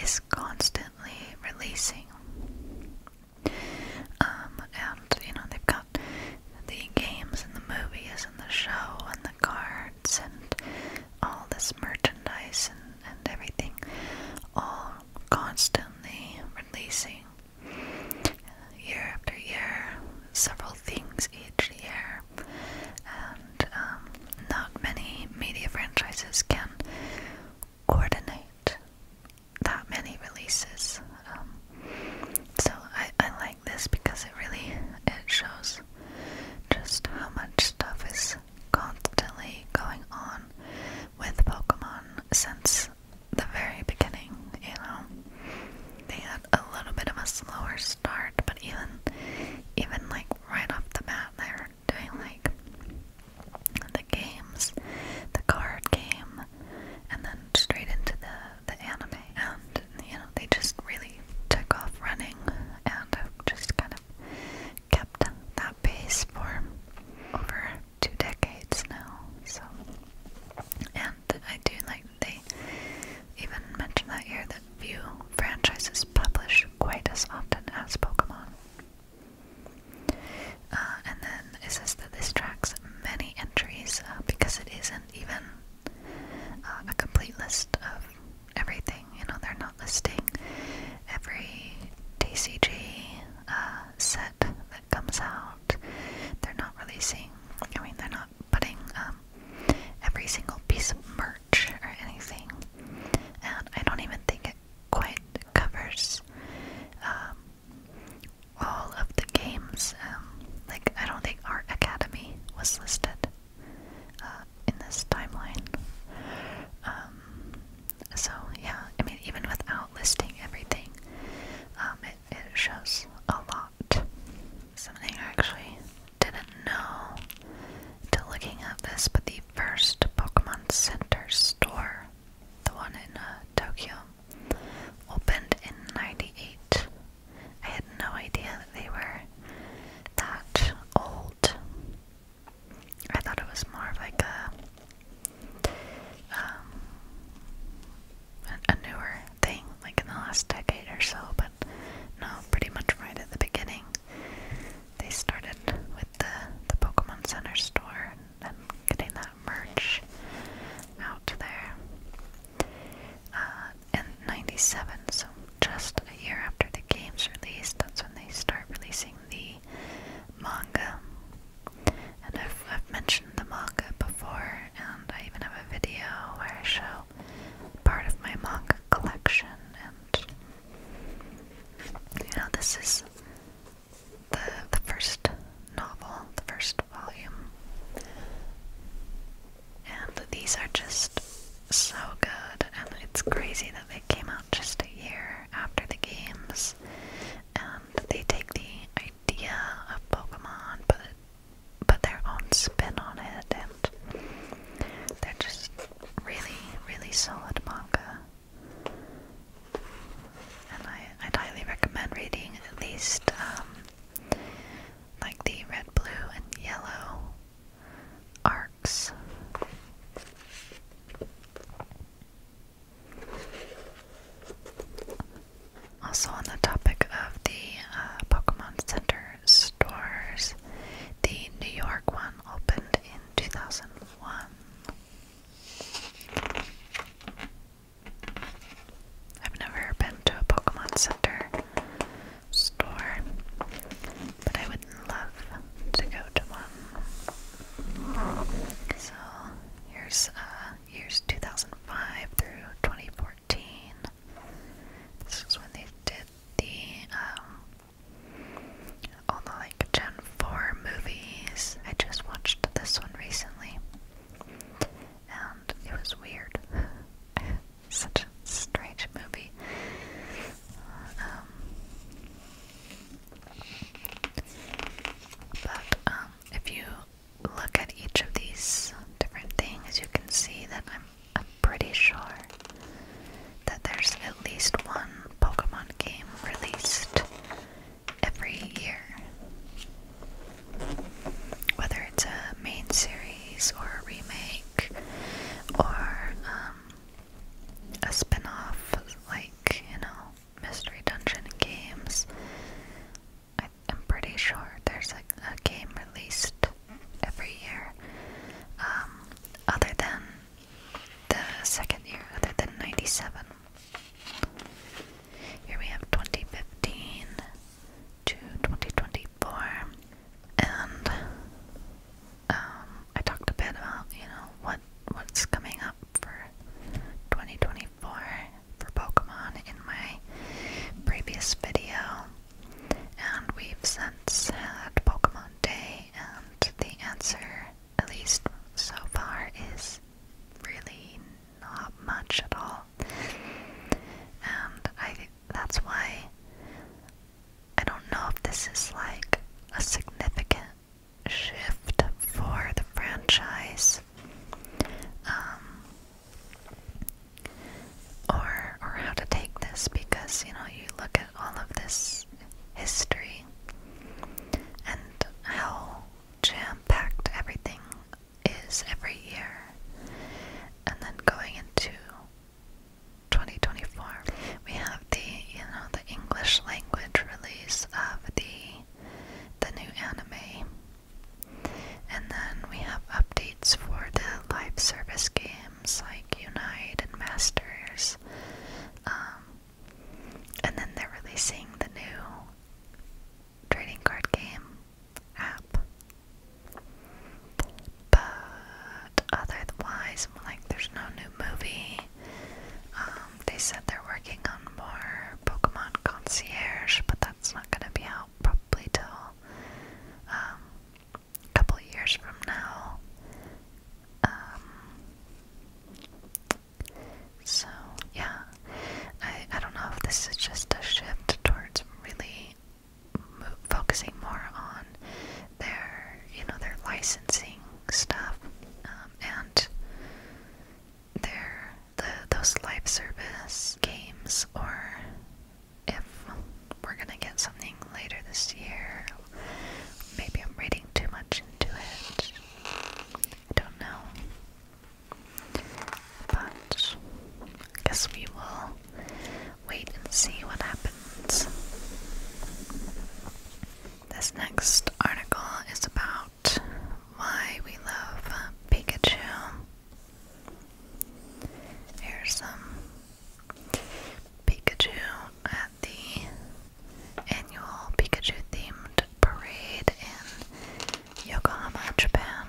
is constantly releasing. Um, and you know, they've got the games and the movies and the show and the cards and all this merchandise and everything all constantly releasing year after year, several things each year, and um, not many media franchises can coordinate that many releases. Um, so I, I like this because it really it shows just how much stuff is constantly going on with Pokemon since the very beginning, you know they had a little bit of a slower start, but even even like right off the bat they were doing like the games, the card game, and then straight into the the anime and you know, they just really took off running and just kind of kept that pace for over two decades now. So and I do like they even mention that here that few franchises publish quite as often as Pokemon. Uh, and then it says that this tracks many entries uh, because it isn't even uh, a complete list of everything. You know, they're not listing every DCG set that comes out. They're not releasing, I mean, they're not putting um, every single piece of merch or anything. And I don't even think it quite covers um, all of the games. Um, like, I don't think Art Academy was listed uh, in this timeline. so, yeah, I mean, even without listing everything, it shows a lot Something I actually didn't know until looking at this, but the first Pokemon Center store, the one in uh, Tokyo, opened in 98. I had no idea that they were that old. I thought it was more of like a um, a newer thing, like in the last decade or so, but no, pretty much right at the beginning. They started with the, the Pokemon Center store and getting that merch out there. Uh, in 97, so just a year after the game's released, that's when they start releasing the manga. And I've, I've mentioned the manga before and I even have a video where I show part of my manga collection and you know this is the the first novel, the first volume. And these are just so good and it's crazy that they came out just a year after the games and they take the idea of Pokemon, but but their own spin on it, and they're just really, really solid manga. And I, I'd highly recommend reading at least um, like the red, blue, and yellow arcs. Also, on the topic of the uh, Pokemon Center stores, the New York one opened in 2001. I've never been to a Pokemon Center store, but I would love to go to one. So here's uh, 2005 through 2014. This is when they did the um, all the like Gen 4 movies. I just watched this one recently. And it was weird. [LAUGHS] Such a strange movie. Um, but um, if you look at each of these different things, you can see that I'm, I'm pretty sure that there's at least one Pokemon game released every year. Whether it's a main series or a remake or um, a spin off, like, you know, Mystery Dungeon games. I'm pretty sure there's a, a game released every year, um, other than the second year, other than 97. Here we have 2015 to 2024, and um, I talked a bit about, you know, what what's coming up for 2024 for Pokemon in my previous video. And we've since had Pokemon Day, and the answer, at least so far, is really not much at all. And I think that's why I don't know if this is like a significant shift for the franchise. Um, or or how to take this because you know you look at all of this history and how jam-packed everything is every year and then going into 2024 we have the you know the English language release of the the new anime and then we have updates for the live service games like Unite and Masters. Um, and then they're releasing the new trading card game app. But otherwise, like, there's no new movie. Um, they said they're working on more Pokemon Concierge, but that's not going to be out out probably till um, a couple years from now. Um, so yeah, I I don't know if this is just a shift towards really mo focusing more on their you know their licensing stuff um, and their the those live service games or if we're gonna get something later this year. Maybe I'm reading too much into it. don't know. But I guess we will wait and see what happens. This next article is about why we love Pikachu. Here's some Pikachu at the annual Pikachu themed parade in Yokohama, Japan.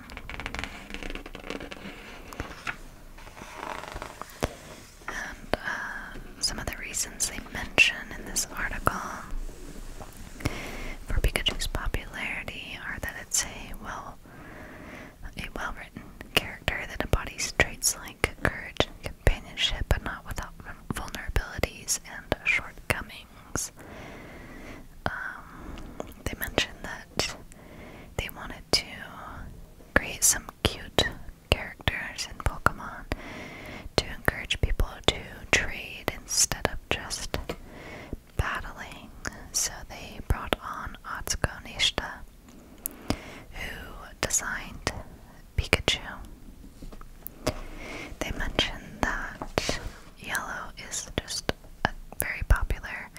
And uh, some of the reasons they mention in this article for Pikachu's popularity are that it's a well a well-written character that embodies traits like courage and companionship, but not without vulnerabilities and shortcomings. Um, they mentioned that they wanted to create some cute characters in Pokemon to encourage people to trade instead of just battling, so they brought on Atsuko Nishita, who designed Pikachu. They mentioned that yellow is just a very popular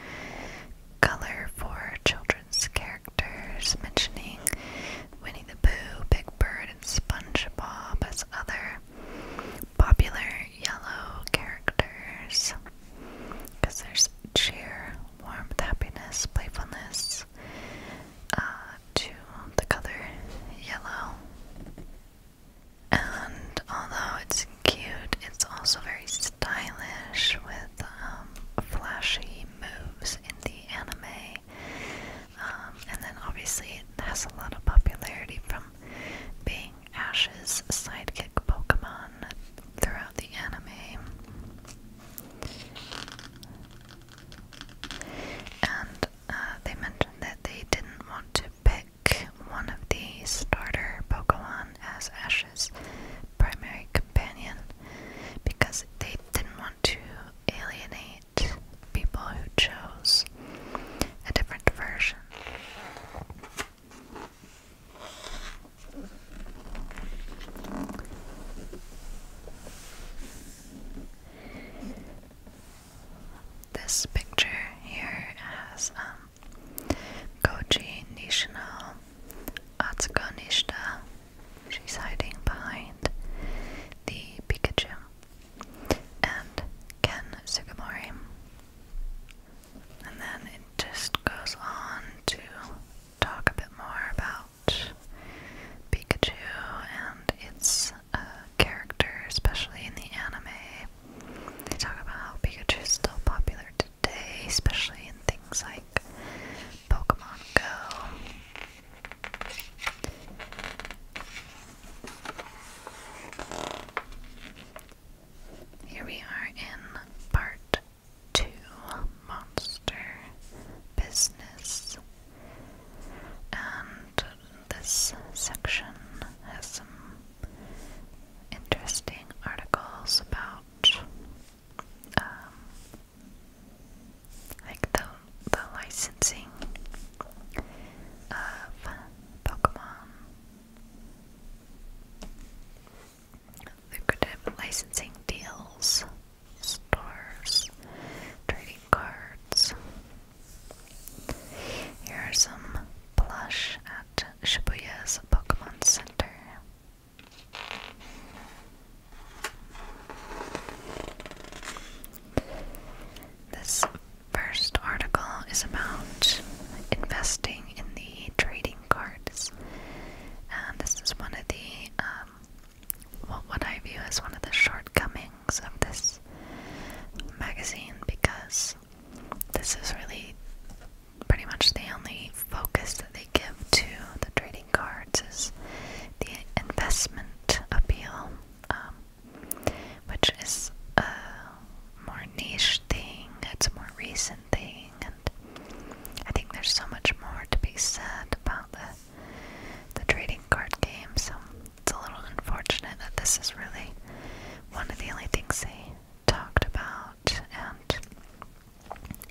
color for children's characters, mentioning Winnie the Pooh, Big Bird, and SpongeBob as other popular yellow characters because there's cheer, warmth, happiness, playfulness uh, to the color yellow. And although it's cute, it's also very stylish with um, flashy moves in the anime. Um, and then obviously it has a lot of popularity from being Ash's sidekick Pokemon throughout the anime. And uh, they mentioned that they didn't want to pick one of the starter Pokemon as Ash's primary companion because they didn't want to alienate people who chose a different version. This picture here has Goji um, Nishino Atsuko Nishida. She's hiding behind the Pikachu and Ken Sugimori and then it just goes on to talk a bit more about Pikachu and its uh, character, especially in the anime. They talk about how Pikachu is still popular today, especially in things like Pokemon Go. Here we are in part two monster business, and this section has some interesting articles about um, like the the licensing of Pokemon lucrative licensing deals, stores, trading cards. Here are some plush at Shibuya's Pokemon Center. This first article is about investing in the trading cards. And this is one of the, um, well, what I view as one of the shortcomings of this magazine because this is really pretty much the only focus that they give to the trading cards is the investment appeal, um, which is a more niche thing, it's a more recent thing, end. I think there's so much more to be said about the the trading card game, so it's a little unfortunate that this is really one of the only things they talked about and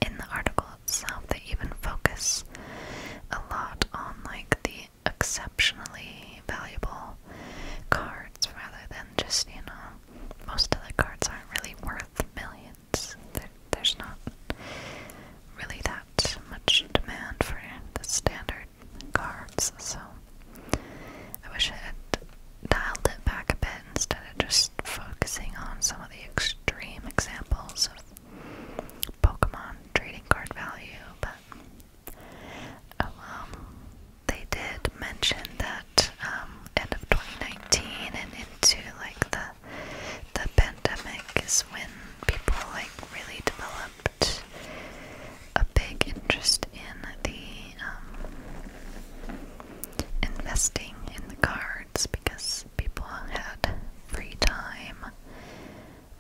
in the article itself they even focus a lot on like the exceptionally valuable cards rather than just, you know, most of the cards aren't really worth millions. there's not really that much demand for the standard cards, so I wish I had dialed it back a bit instead of just focusing on some of the extreme examples of Pokemon trading card value, but. Oh they did mention that that um, end of 2019 and into like the the pandemic is when people like really developed a big interest in the um, investing in the cards because people had free time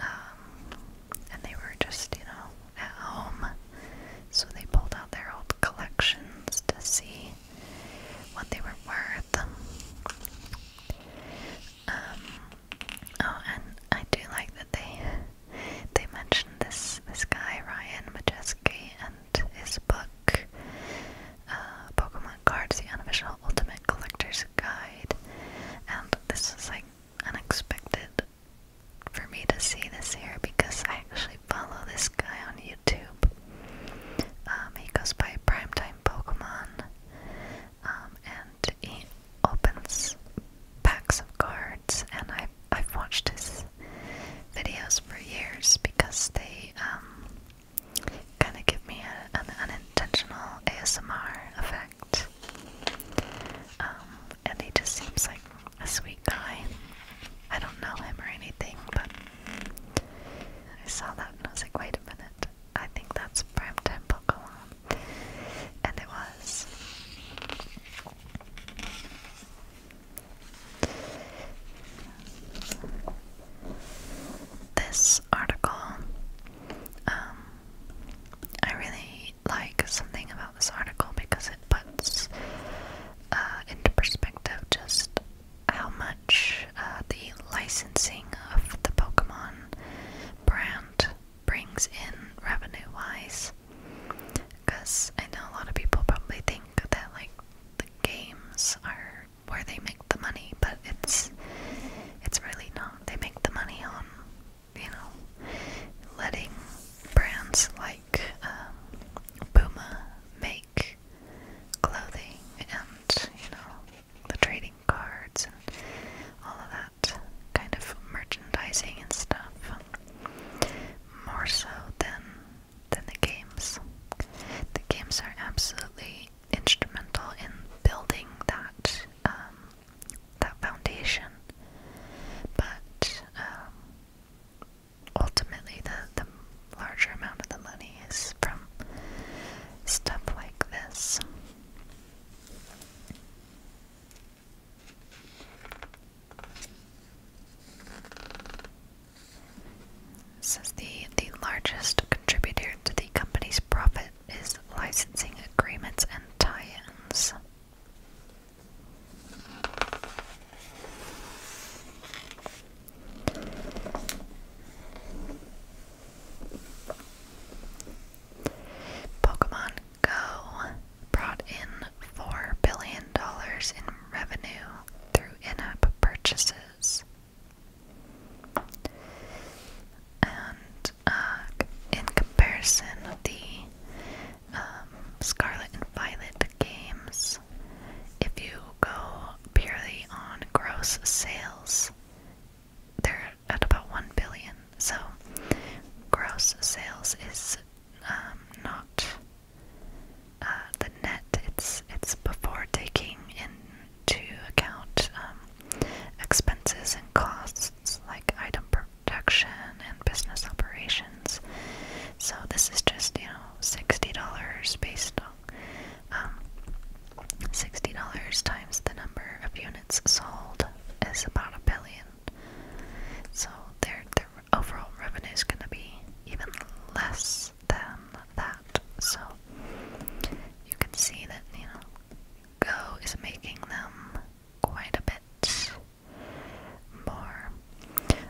um, and they were just you know at home so they pulled out their old collections to see what they were worth. Um, oh, and I do like that they they mentioned this this guy Ryan Majeski and his book, uh, Pokemon Cards: The Unofficial Ultimate Collector's Guide, and this is like unexpected for me to see this here because I actually follow this guy on YouTube. Um, he goes by Primetime Pokemon, um, and he opens packs of cards. And I've watched his videos for years because they um, kind of give me an unintentional ASMR effect. and he just seems like a sweet guy. I don't know him or anything, but I saw that and I was like, wait a minute, I think that's primetime Pokemon. And it was. This article, um, I really like something about this article because it puts uh, into perspective just how much uh, the licensing of the Pokemon brand brings in revenue wise. Because I know a lot of people probably think that, like, the games are where they make the money, but it's it's really not. They make the money on, you know, letting brands like um, Puma make clothing and, you know, the trading cards and all of that kind of merchandising and stuff. More so than than the games. The games are absolutely instrumental in building that um, that foundation. But um, ultimately the, the larger amount of the money is from stuff like this. This is the the largest contributor to the company's profit is licensing agreements and tie-ins. Pokemon Go brought in $4 billion in revenue through in app purchases. And uh, in comparison, the um, Scarlet and Violet games, if you go purely on gross sales, they're at about 1 billion. So, gross sales is um, not uh, the net, it's, it's before taking into account um, expenses and costs like item production and business operations. So, this is just, you know, $60 based um, $60 times the number of units sold is about a billion. So their, their overall revenue is going to be even less than that. So you can see that, you know, Go is making them quite a bit more.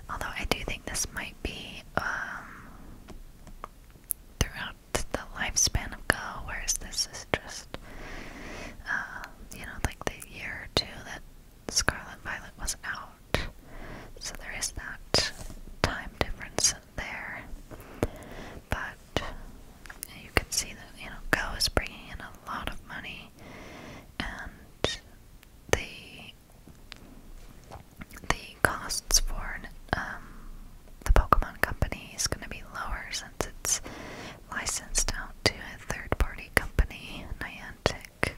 Although I do think this might be um, throughout the lifespan of Go, whereas this is just, uh, you know, like the year or two that Scarlet Violet was out. So there is that time difference there. But you can see that, you know, Go is bringing in a lot of money and the the costs for um, the Pokemon company is going to be lower since it's licensed out to a third-party company, Niantic.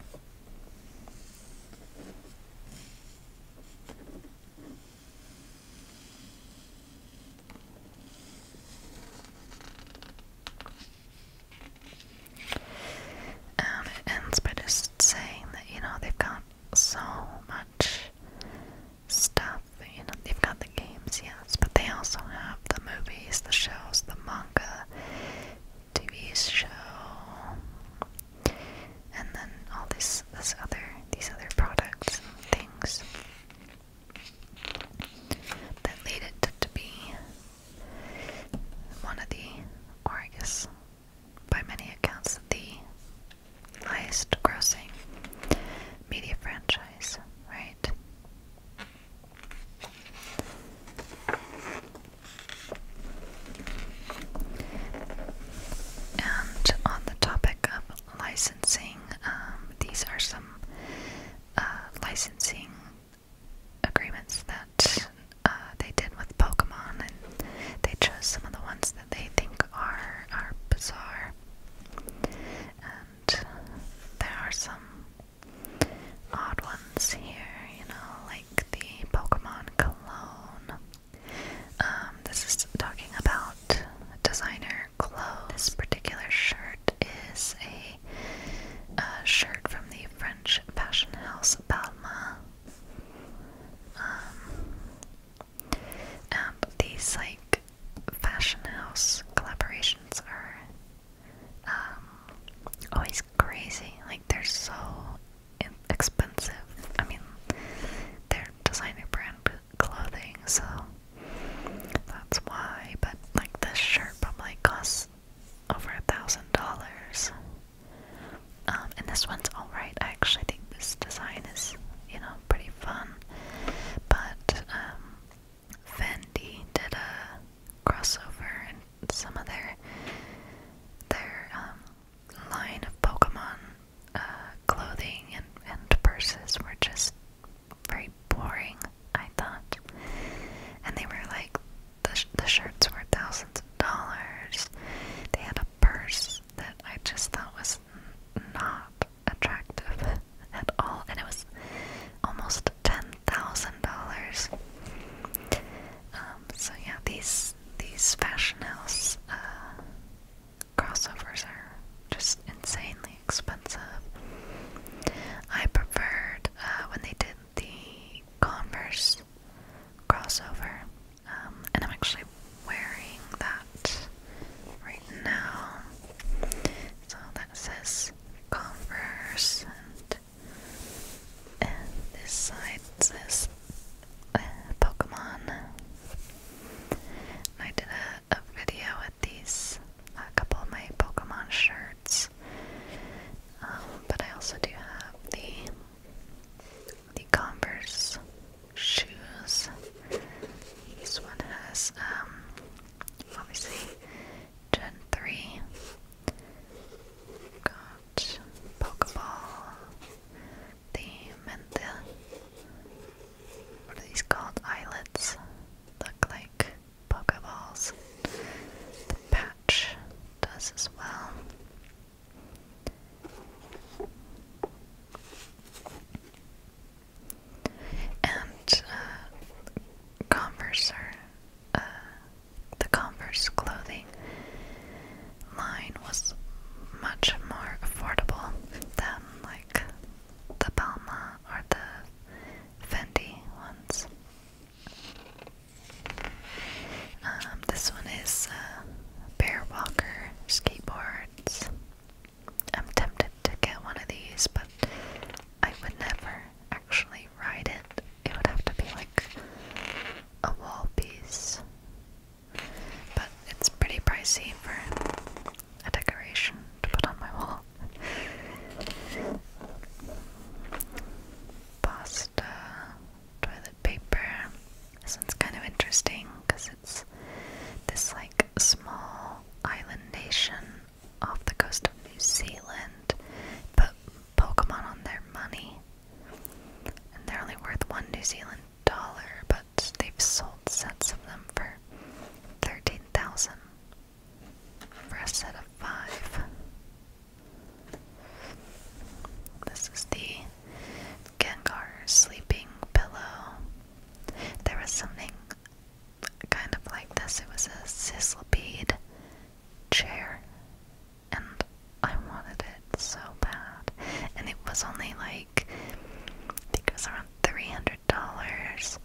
Um, it ends by just saying that, you know, they've got so much stuff. You know, they've got the games, yes, but they also have the movies, the shows, the manga, TV show, and then all these this other these other products and things that lead it to, to be one of the, or I guess by many accounts, the highest grossing media franchise, right? And on the topic of licensing, um, these are some uh, licensing agreements that uh, they did with Pokemon, and they chose some of the ones that they think are are bizarre. And there are some odd ones here, you know, like the Pokemon cologne. Um, this is talking about designer clothes. This particular shirt is a, a shirt from the French fashion house Balmain. Um, um, these like fashion house collaborations are um, always crazy. Like they're so expensive. I mean, they're designer brand clothing, so that's why. But like this shirt probably costs over a thousand dollars. Um, and this one's alright. I actually think this design is, you know, pretty fun. But um, Fendi did a crossover and some of their their um, line of Pokemon uh, clothing and, and purses were just very boring, I thought. And they were like, the, the shirts were thousands of dollars. They had a purse that I just thought was not attractive [LAUGHS] at all, and it was almost ten thousand dollars. Um, so yeah, these these fashion house uh, crossovers are just insanely expensive. I preferred uh, when they did the Converse crossover. Um, and I'm actually wearing that right now. So that says Converse, and, this side says uh, Pokemon. And I did a, video with these, a couple of my Pokemon shirts. Um, but I also do have the the Converse shoes. This one has, um, obviously, Gen 3. Got Pokeball, the Mentha. What are these called? Eyelets. Look like Pokeballs. The patch does as well. And uh, Converse, uh, the Converse clothing line was much more affordable than like the Palma or the Fendi ones. Um, this one is uh, bear walker skateboards. I'm tempted to get one of these, but I would never actually ride it. It would have to be like a wall piece. But it's pretty pricey for a decoration to put on my wall. Pasta toilet paper. This one's kind of interesting because it's this like small island nation off the coast of New Zealand put Pokemon on their money. And they're only worth one New Zealand dollar, but they've sold sets of them for 13,000 for a set of five. This is the Gengar's sleeping pillow. There was something kind of like this. It was a sizzlebead chair, and I wanted it so bad. And it was only like, I think it was around $300,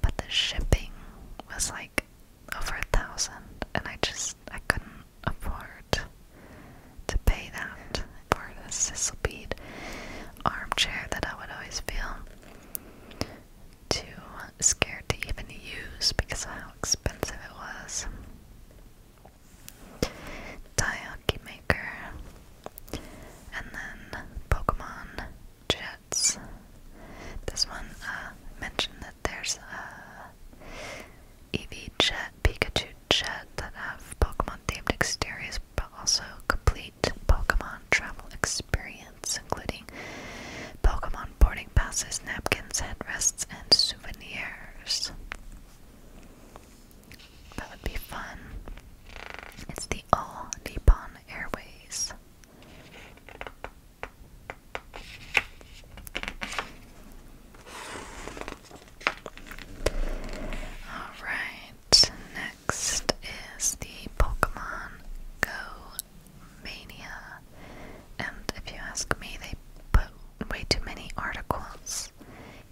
but the shipping was like over a thousand, and I just, I couldn't afford to pay that for the sisal bead armchair that I would always feel too scared to even use because of how expensive it was. Taiyaki Maker and then Pokemon Jets. This one uh, mentioned that there's a EV Jet Pikachu shed that have Pokemon themed exteriors but also complete Pokemon travel experience, including Pokemon boarding passes, napkins, headrests, and souvenirs. That would be fun. It's the All Nippon Airways. Alright, next is the Pokemon Go Mania. And if you ask me, they put way too many articles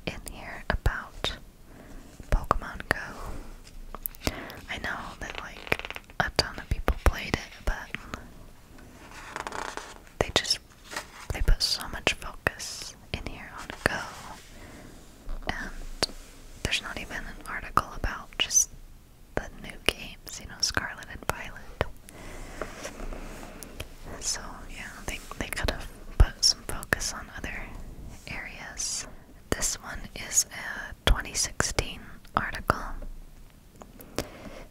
in here about Pokemon Go. I know that, like, a ton of people played it, but they just they put so much focus in here on Go, and there's not even an article about just the new games, you know, Scarlet and Violet. So yeah, they they could have put some focus on other areas. This one is a 2016 article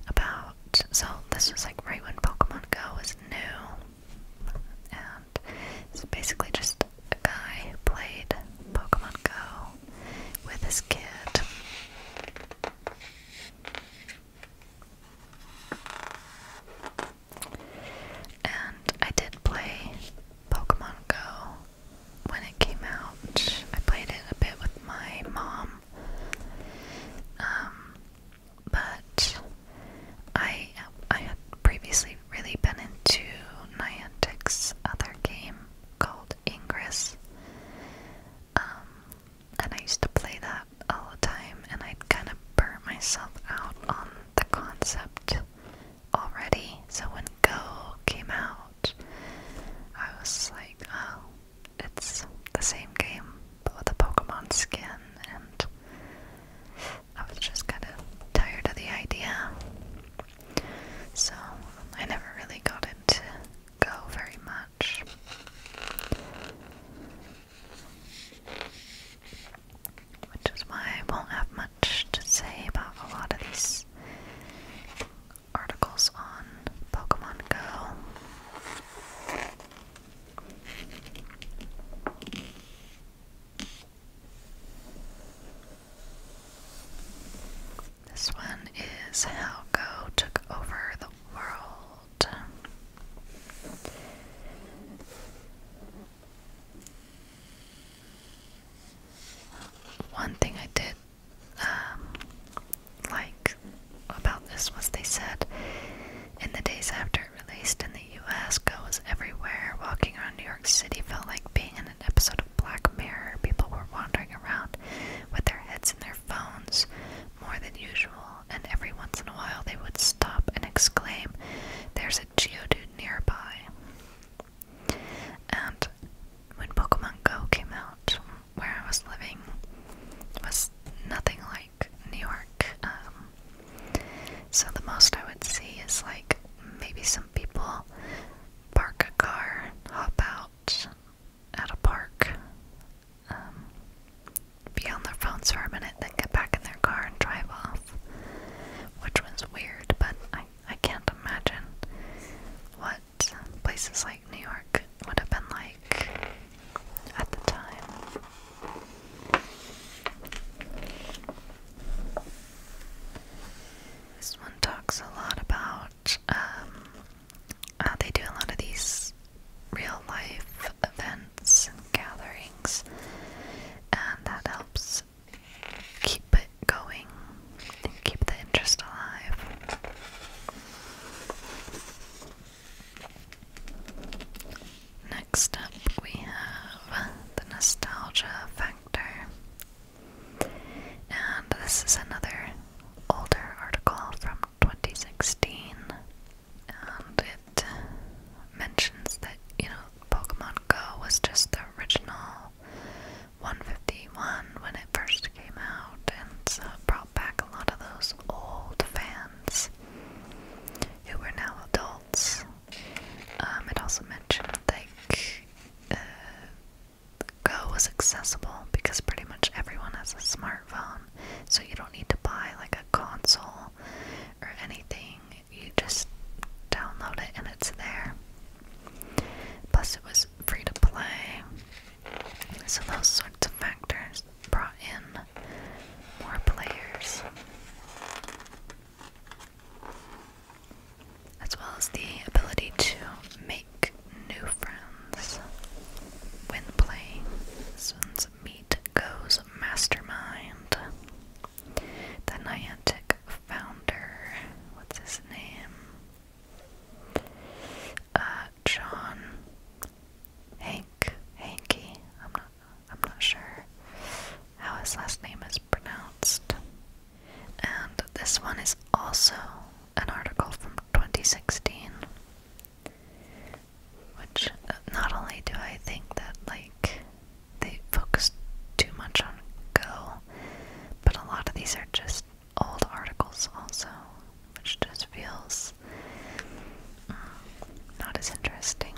about so this was like right when Pokemon Go was new it's basically just a guy who played Pokemon Go with his kid. And I did play Pokemon Go when it came out. I played it a bit with my mom. Um, but I I had previously really been into Niantic's other game called Ingress, um, and I used to play that all the time, and I'd kind of burnt myself out on the concept already. So when Go came out, I was like, oh, it's the same game. With the Pokemon skin, and I was just kind of tired of the idea. So I never really got it go very much. Which is why I won't have much to say about a lot of these articles on Pokemon Go. This one is How Go Took Over the World. One thing I did um, like about this was they said in the days after it released in the the US goes everywhere. Walking around New York City felt like being in an episode of Black Mirror. People were wandering around with their heads in their phones more than usual, and every once in a while they would stop and exclaim, There's a Geodude nearby. And when Pokemon Go came out, where I was living, it was nothing like like New York. Um, so the most I would see is like maybe some people park a car, hop out at a park, um, be on their phones for a minute, then get back in their car and drive off, which was weird, but I, I can't imagine what places like New York would have been like at the time. This one talks a lot about um, how they do a lot of these real life events and gatherings, and that helps keep it going and keep the interest alive next up we have the nostalgia factor. And this is another older article from 2016. And it mentions that, you know, Pokemon Go was just the original 151 when it first came out, and so uh, brought back a lot of those old fans who were now adults. Um, it also mentioned that uh, Go was accessible because pretty much everyone has a smartphone, so you don't need to buy like a console or anything. You just download it and it's there. Plus, it was free to play, so those sorts of factors brought in more players, as well as the ability to make new friends when playing. This one's Meet Goes Mastermind. The Niantic founder, what's his name? Uh, John. Hank, Hanky, I'm not sure how his last name is pronounced. And this one is also an article from 2016. Which uh, not only do I think that like they focus too much on Go, but a lot of these are just old articles also, which just feels mm, not as interesting.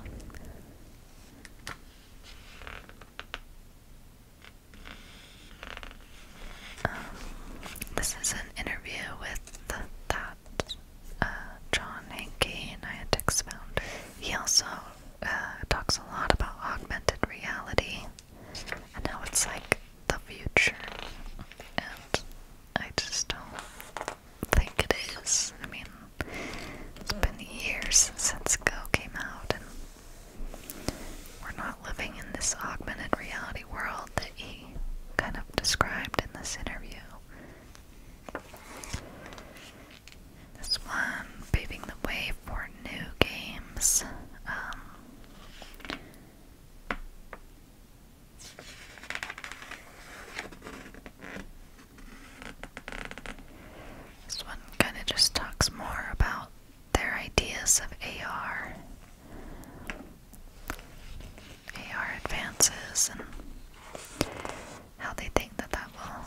Um, this is an interview with that uh, John Hankey, Niantic's founder. He also uh, talks a lot about augmented reality and how it's like the future. And I just don't think it is. I mean, it's been years since Go came out, and we're not living in this augmented reality world that he kind of described in this interview. This one, paving the way for new games. Um, this one kind of just talks more about their ideas of AR. AR advances and how they think that that will,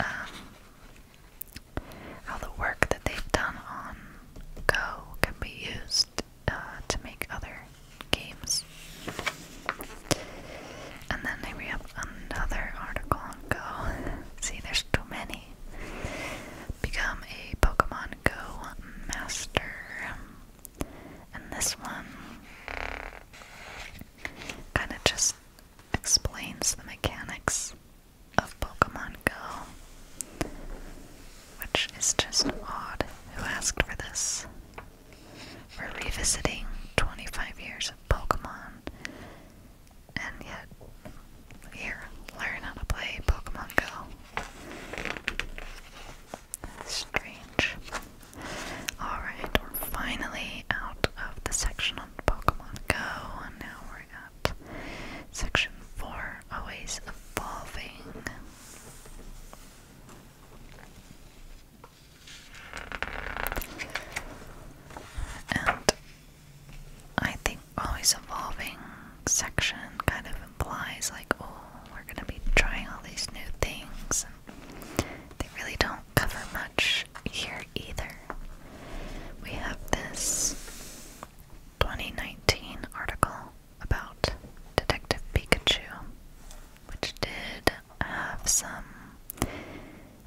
um, how the work that they've done on Go can be used uh, to make other games. And then I read another article on Go. [LAUGHS] See, there's too many. Become a Pokemon Go master. And this one kind of just explains the mechanics of Pokemon Go, which is just odd. Who asked for this? We're revisiting 25 years of Pokemon, and yet here, learn how to play Pokemon Go. strange. Alright, we're finally out of the section on Pokemon Go, and now we're at section 4 Always Evolving. And I think always evolving section kind of implies like, oh, we're gonna be trying all these new things. they really don't cover much here either. We have this 2019 article about Detective Pikachu which did have some,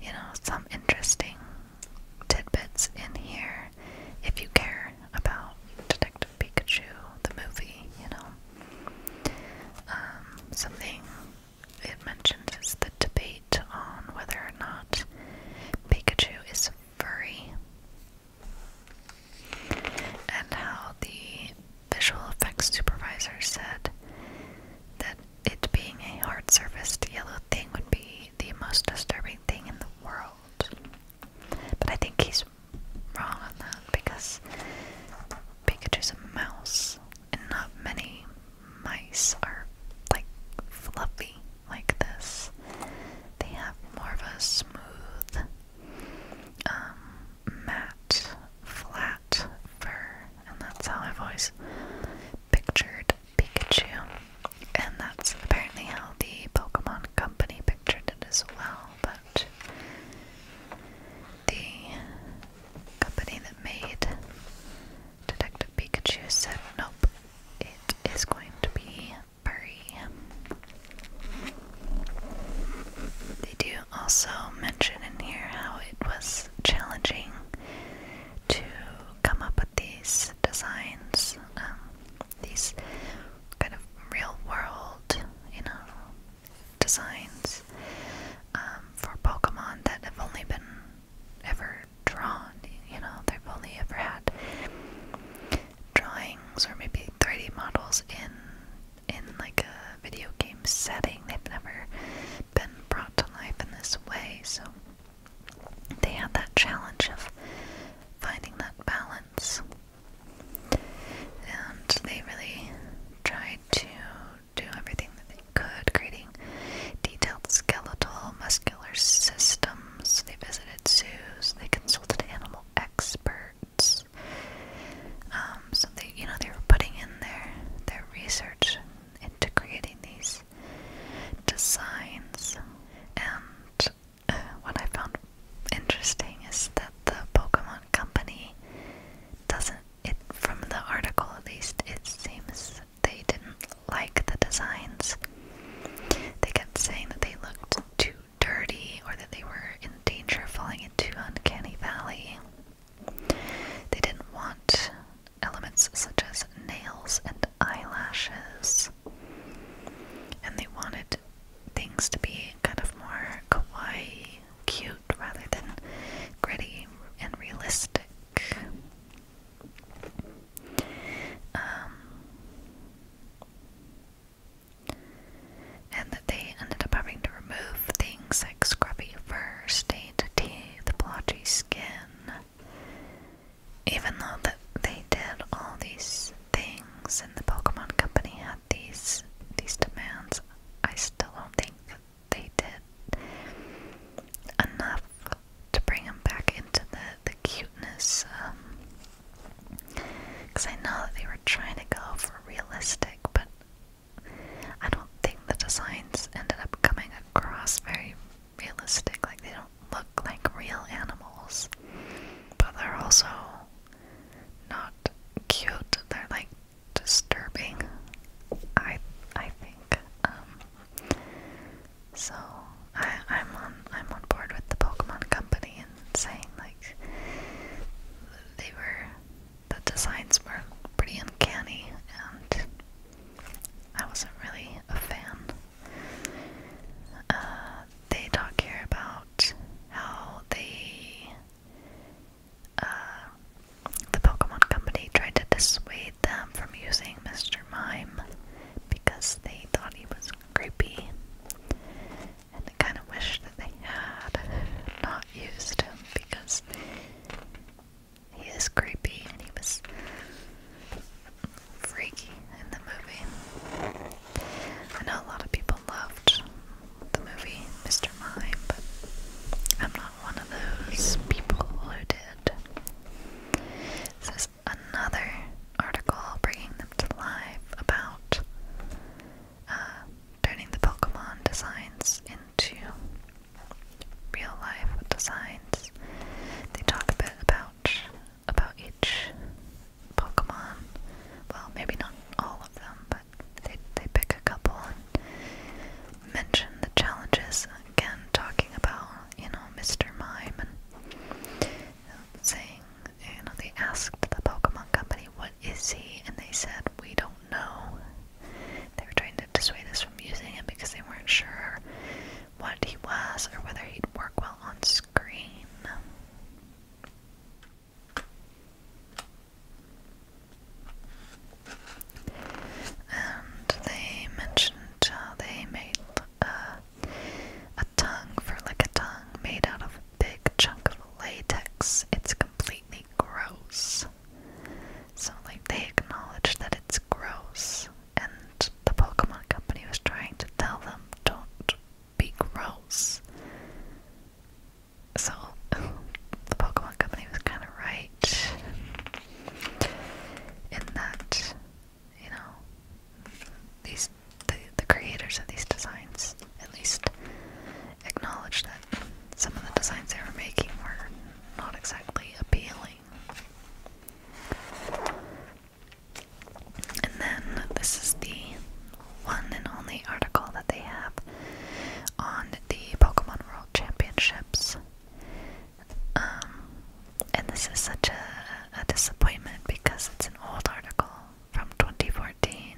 you know, some interesting tidbits in here if you care about Detective Pikachu, the movie, you know. Um, something it mentions is the debate on whether or not Pikachu is furry and how the visual effects supervisor said that it being a hard surfaced yellow thing would be the most disturbing thing in the world. But I think he's wrong on that because Pikachu's a mouse, and not many mice are like fluffy like this. They have more of a smooth, um, matte, flat fur, and that's how I've always pictured Pikachu. And that's apparently how the Pokemon Company pictured it as well, but the company that made Detective Pikachu said nope, it is going to be furry. They do also mention in here how it was challenging to come up with these designs, um, these kind of real world, you know, designs um, for Pokemon that have only been ever drawn. You know, they've only ever had drawings or maybe 3D models in in like a video game setting. They've never been brought to life in this way, so they had that challenge of finding that balance. And they really tried to do everything that they could, creating detailed skeletal, muscular systems. They visited zoos, they consulted animal experts. Um, um, so they, you know, they were putting in their their research into creating these designs. And uh, what I found interesting is that the Pokemon Company doesn't. It from the article at least, it seems they didn't like the designs. They kept saying that they looked too dirty or that they were in danger of falling into Uncanny Valley. They didn't want elements such as nails and eyelashes, and they wanted things to be kind of more kawaii, cute, rather than gritty and realistic. Um, and that they ended up having to remove things like scruffy fur stains frayed teeth, blotchy skin. Even though that they did all these things and the Pokemon Company had these these demands, I still don't think that they did enough to bring them back into the, the cuteness. Because um, I know that they were trying to go for realistic, but I don't think the designs ended up coming across very realistic. Like, they don't look like real animals. But they're also not cute. They're like disturbing. I I think. Um so I I'm on I'm on board with the Pokemon Company and saying like they were the designs were pretty uncanny, and I wasn't really a fan. Uh, they talk here about how they, uh, the Pokemon Company tried to dissuade them from using Mr. Mime because they thought he was creepy. And they kind of wished that they had not used him because he is creepy and he was freaky in the movie. I know a lot of people loved the movie Mr. Mime, but I'm not one of those people who did. This is another article bringing them to life about uh, turning the Pokemon designs into real life designs. They talk a bit about about each Pokemon. Well, maybe not all of them, but they they pick a couple and mention the challenges. Again, talking about you know Mr. Mime and saying you know they asked the Pokemon company what is he, and they said we don't know. They were trying to dissuade us from using him because they weren't sure what he was or whether he'd work well on screen. And they mentioned how they made a, uh, a tongue for like a tongue made out of a big chunk of latex. It's completely gross. So, like, they acknowledge that it's gross, and the Pokemon Company was trying to tell them, don't be gross. So, [LAUGHS] the Pokemon Company was kind of right in that, you know, these the, the creators of these designs at least acknowledged that some of the designs they were making were not exactly appealing. And then this is the one and only article that they have on the Pokemon World Championships. Um, and this is such a, a disappointment because it's an old article from 2014,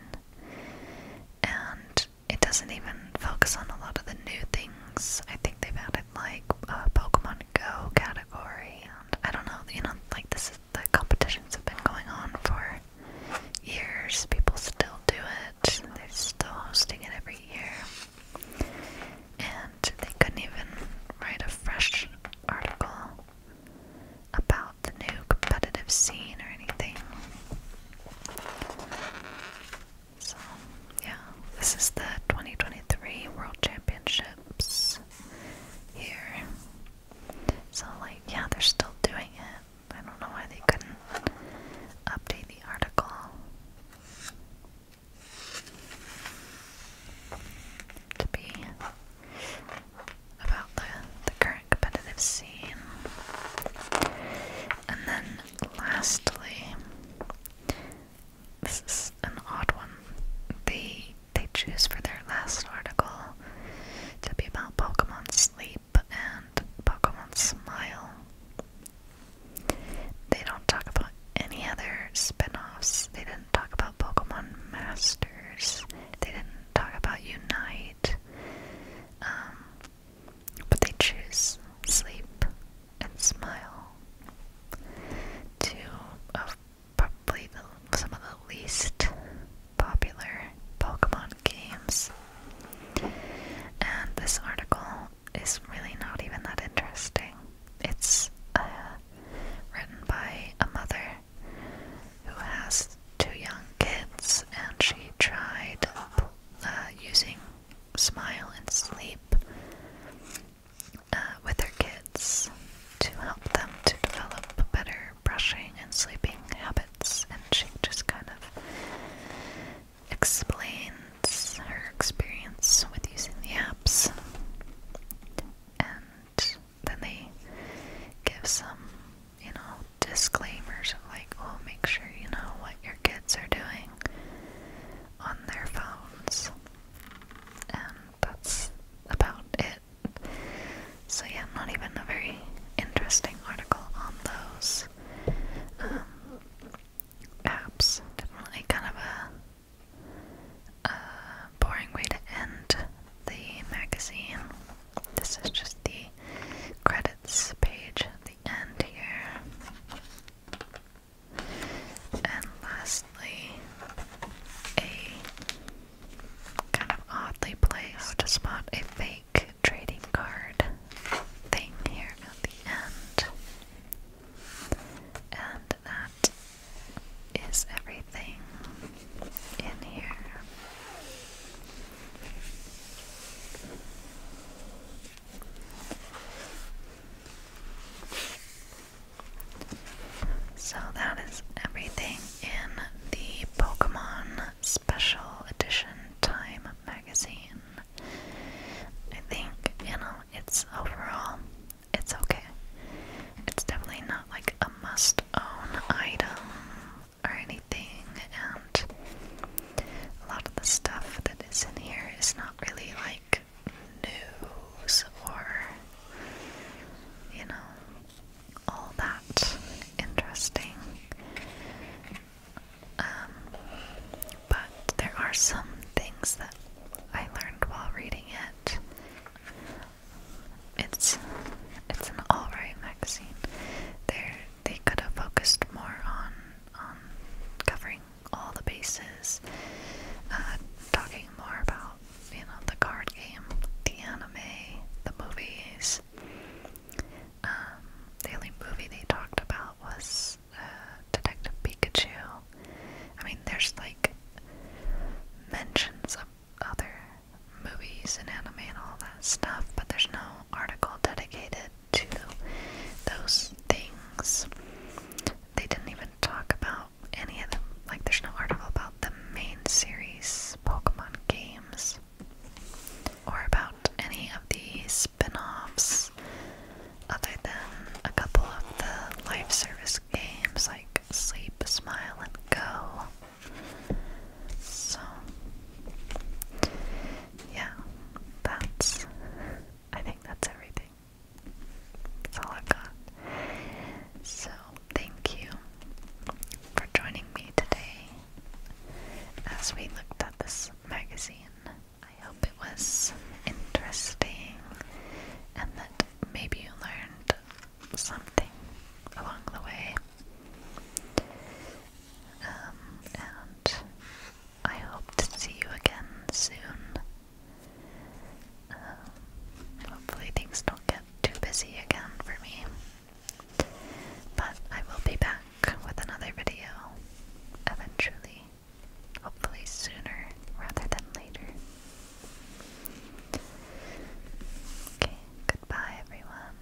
and it doesn't even focus on a lot of the new things. I think they've added like a Pokemon Go category, and I don't know, you know, like this is the competitions have been going on for years. People still do it. They're still hosting it every year, and they couldn't even write a fresh article about the new competitive scene or anything. So, yeah, this is the 2023 World Championships here. So, like, yeah, they're still doing it. I don't know why they couldn't update the article. To be about the, the current competitive scene. And then lastly, this is an odd one. They they choose for their last article to be about Pokemon Sleep and Pokemon Smile. They don't talk about any other spin-offs. They didn't talk about Pokemon Masters. They didn't talk about Unite. Um, but they choose sleep and smile. Two of probably some of the least popular Pokemon games. And this article is really not even that interesting. It's uh, written by a mother who has two young kids, and she tried uh, using smile and sleep uh, with their kids to help them to develop better brushing and sleeping habits. And she just kind of explains her experience with using the apps. And then they give some, you know, disclaimers of like, oh, make sure you know what your kids are doing on their phones. And that's about it. So, yeah, not even a very interesting article on those um, apps. Definitely kind of a boring way to end the magazine. This is just the credits page at the end here. And lastly, a kind of oddly placed spot a fake trading card thing here at the end. And that is everything in here. So that is everything in the Pokemon Special Edition Time magazine. I think, you know, it's overall, it's okay. It's definitely not like a must own item or anything, and a lot of the stuff that is in here is not really like news or, you know, all that interesting. Um, but there are some things that I learned while reading it. It's it's an alright magazine. There they could have focused more on on covering all the bases, uh, talking more about you know the card game, the anime, the movies. Um, the only movie they talked about was uh, Detective Pikachu. I mean, there's like mentions of other movies and anime and all that stuff, but there's no article dedicated to those things. They didn't even talk about any of them. Like, there's no article about the main series Pokemon games or about any of the spin offs other than a couple of the life service games like Sleep, Smile, and Go. So, yeah, that's I think that's everything. That's all I've got. So, thank you for joining me today as we looked at this magazine. I hope it was interesting and that maybe you learned something along the way. Um, and I hope to see you again soon. Um, hopefully, things don't get too busy again for me. But I will be back with another video eventually. Hopefully, sooner rather than later. Okay, goodbye, everyone.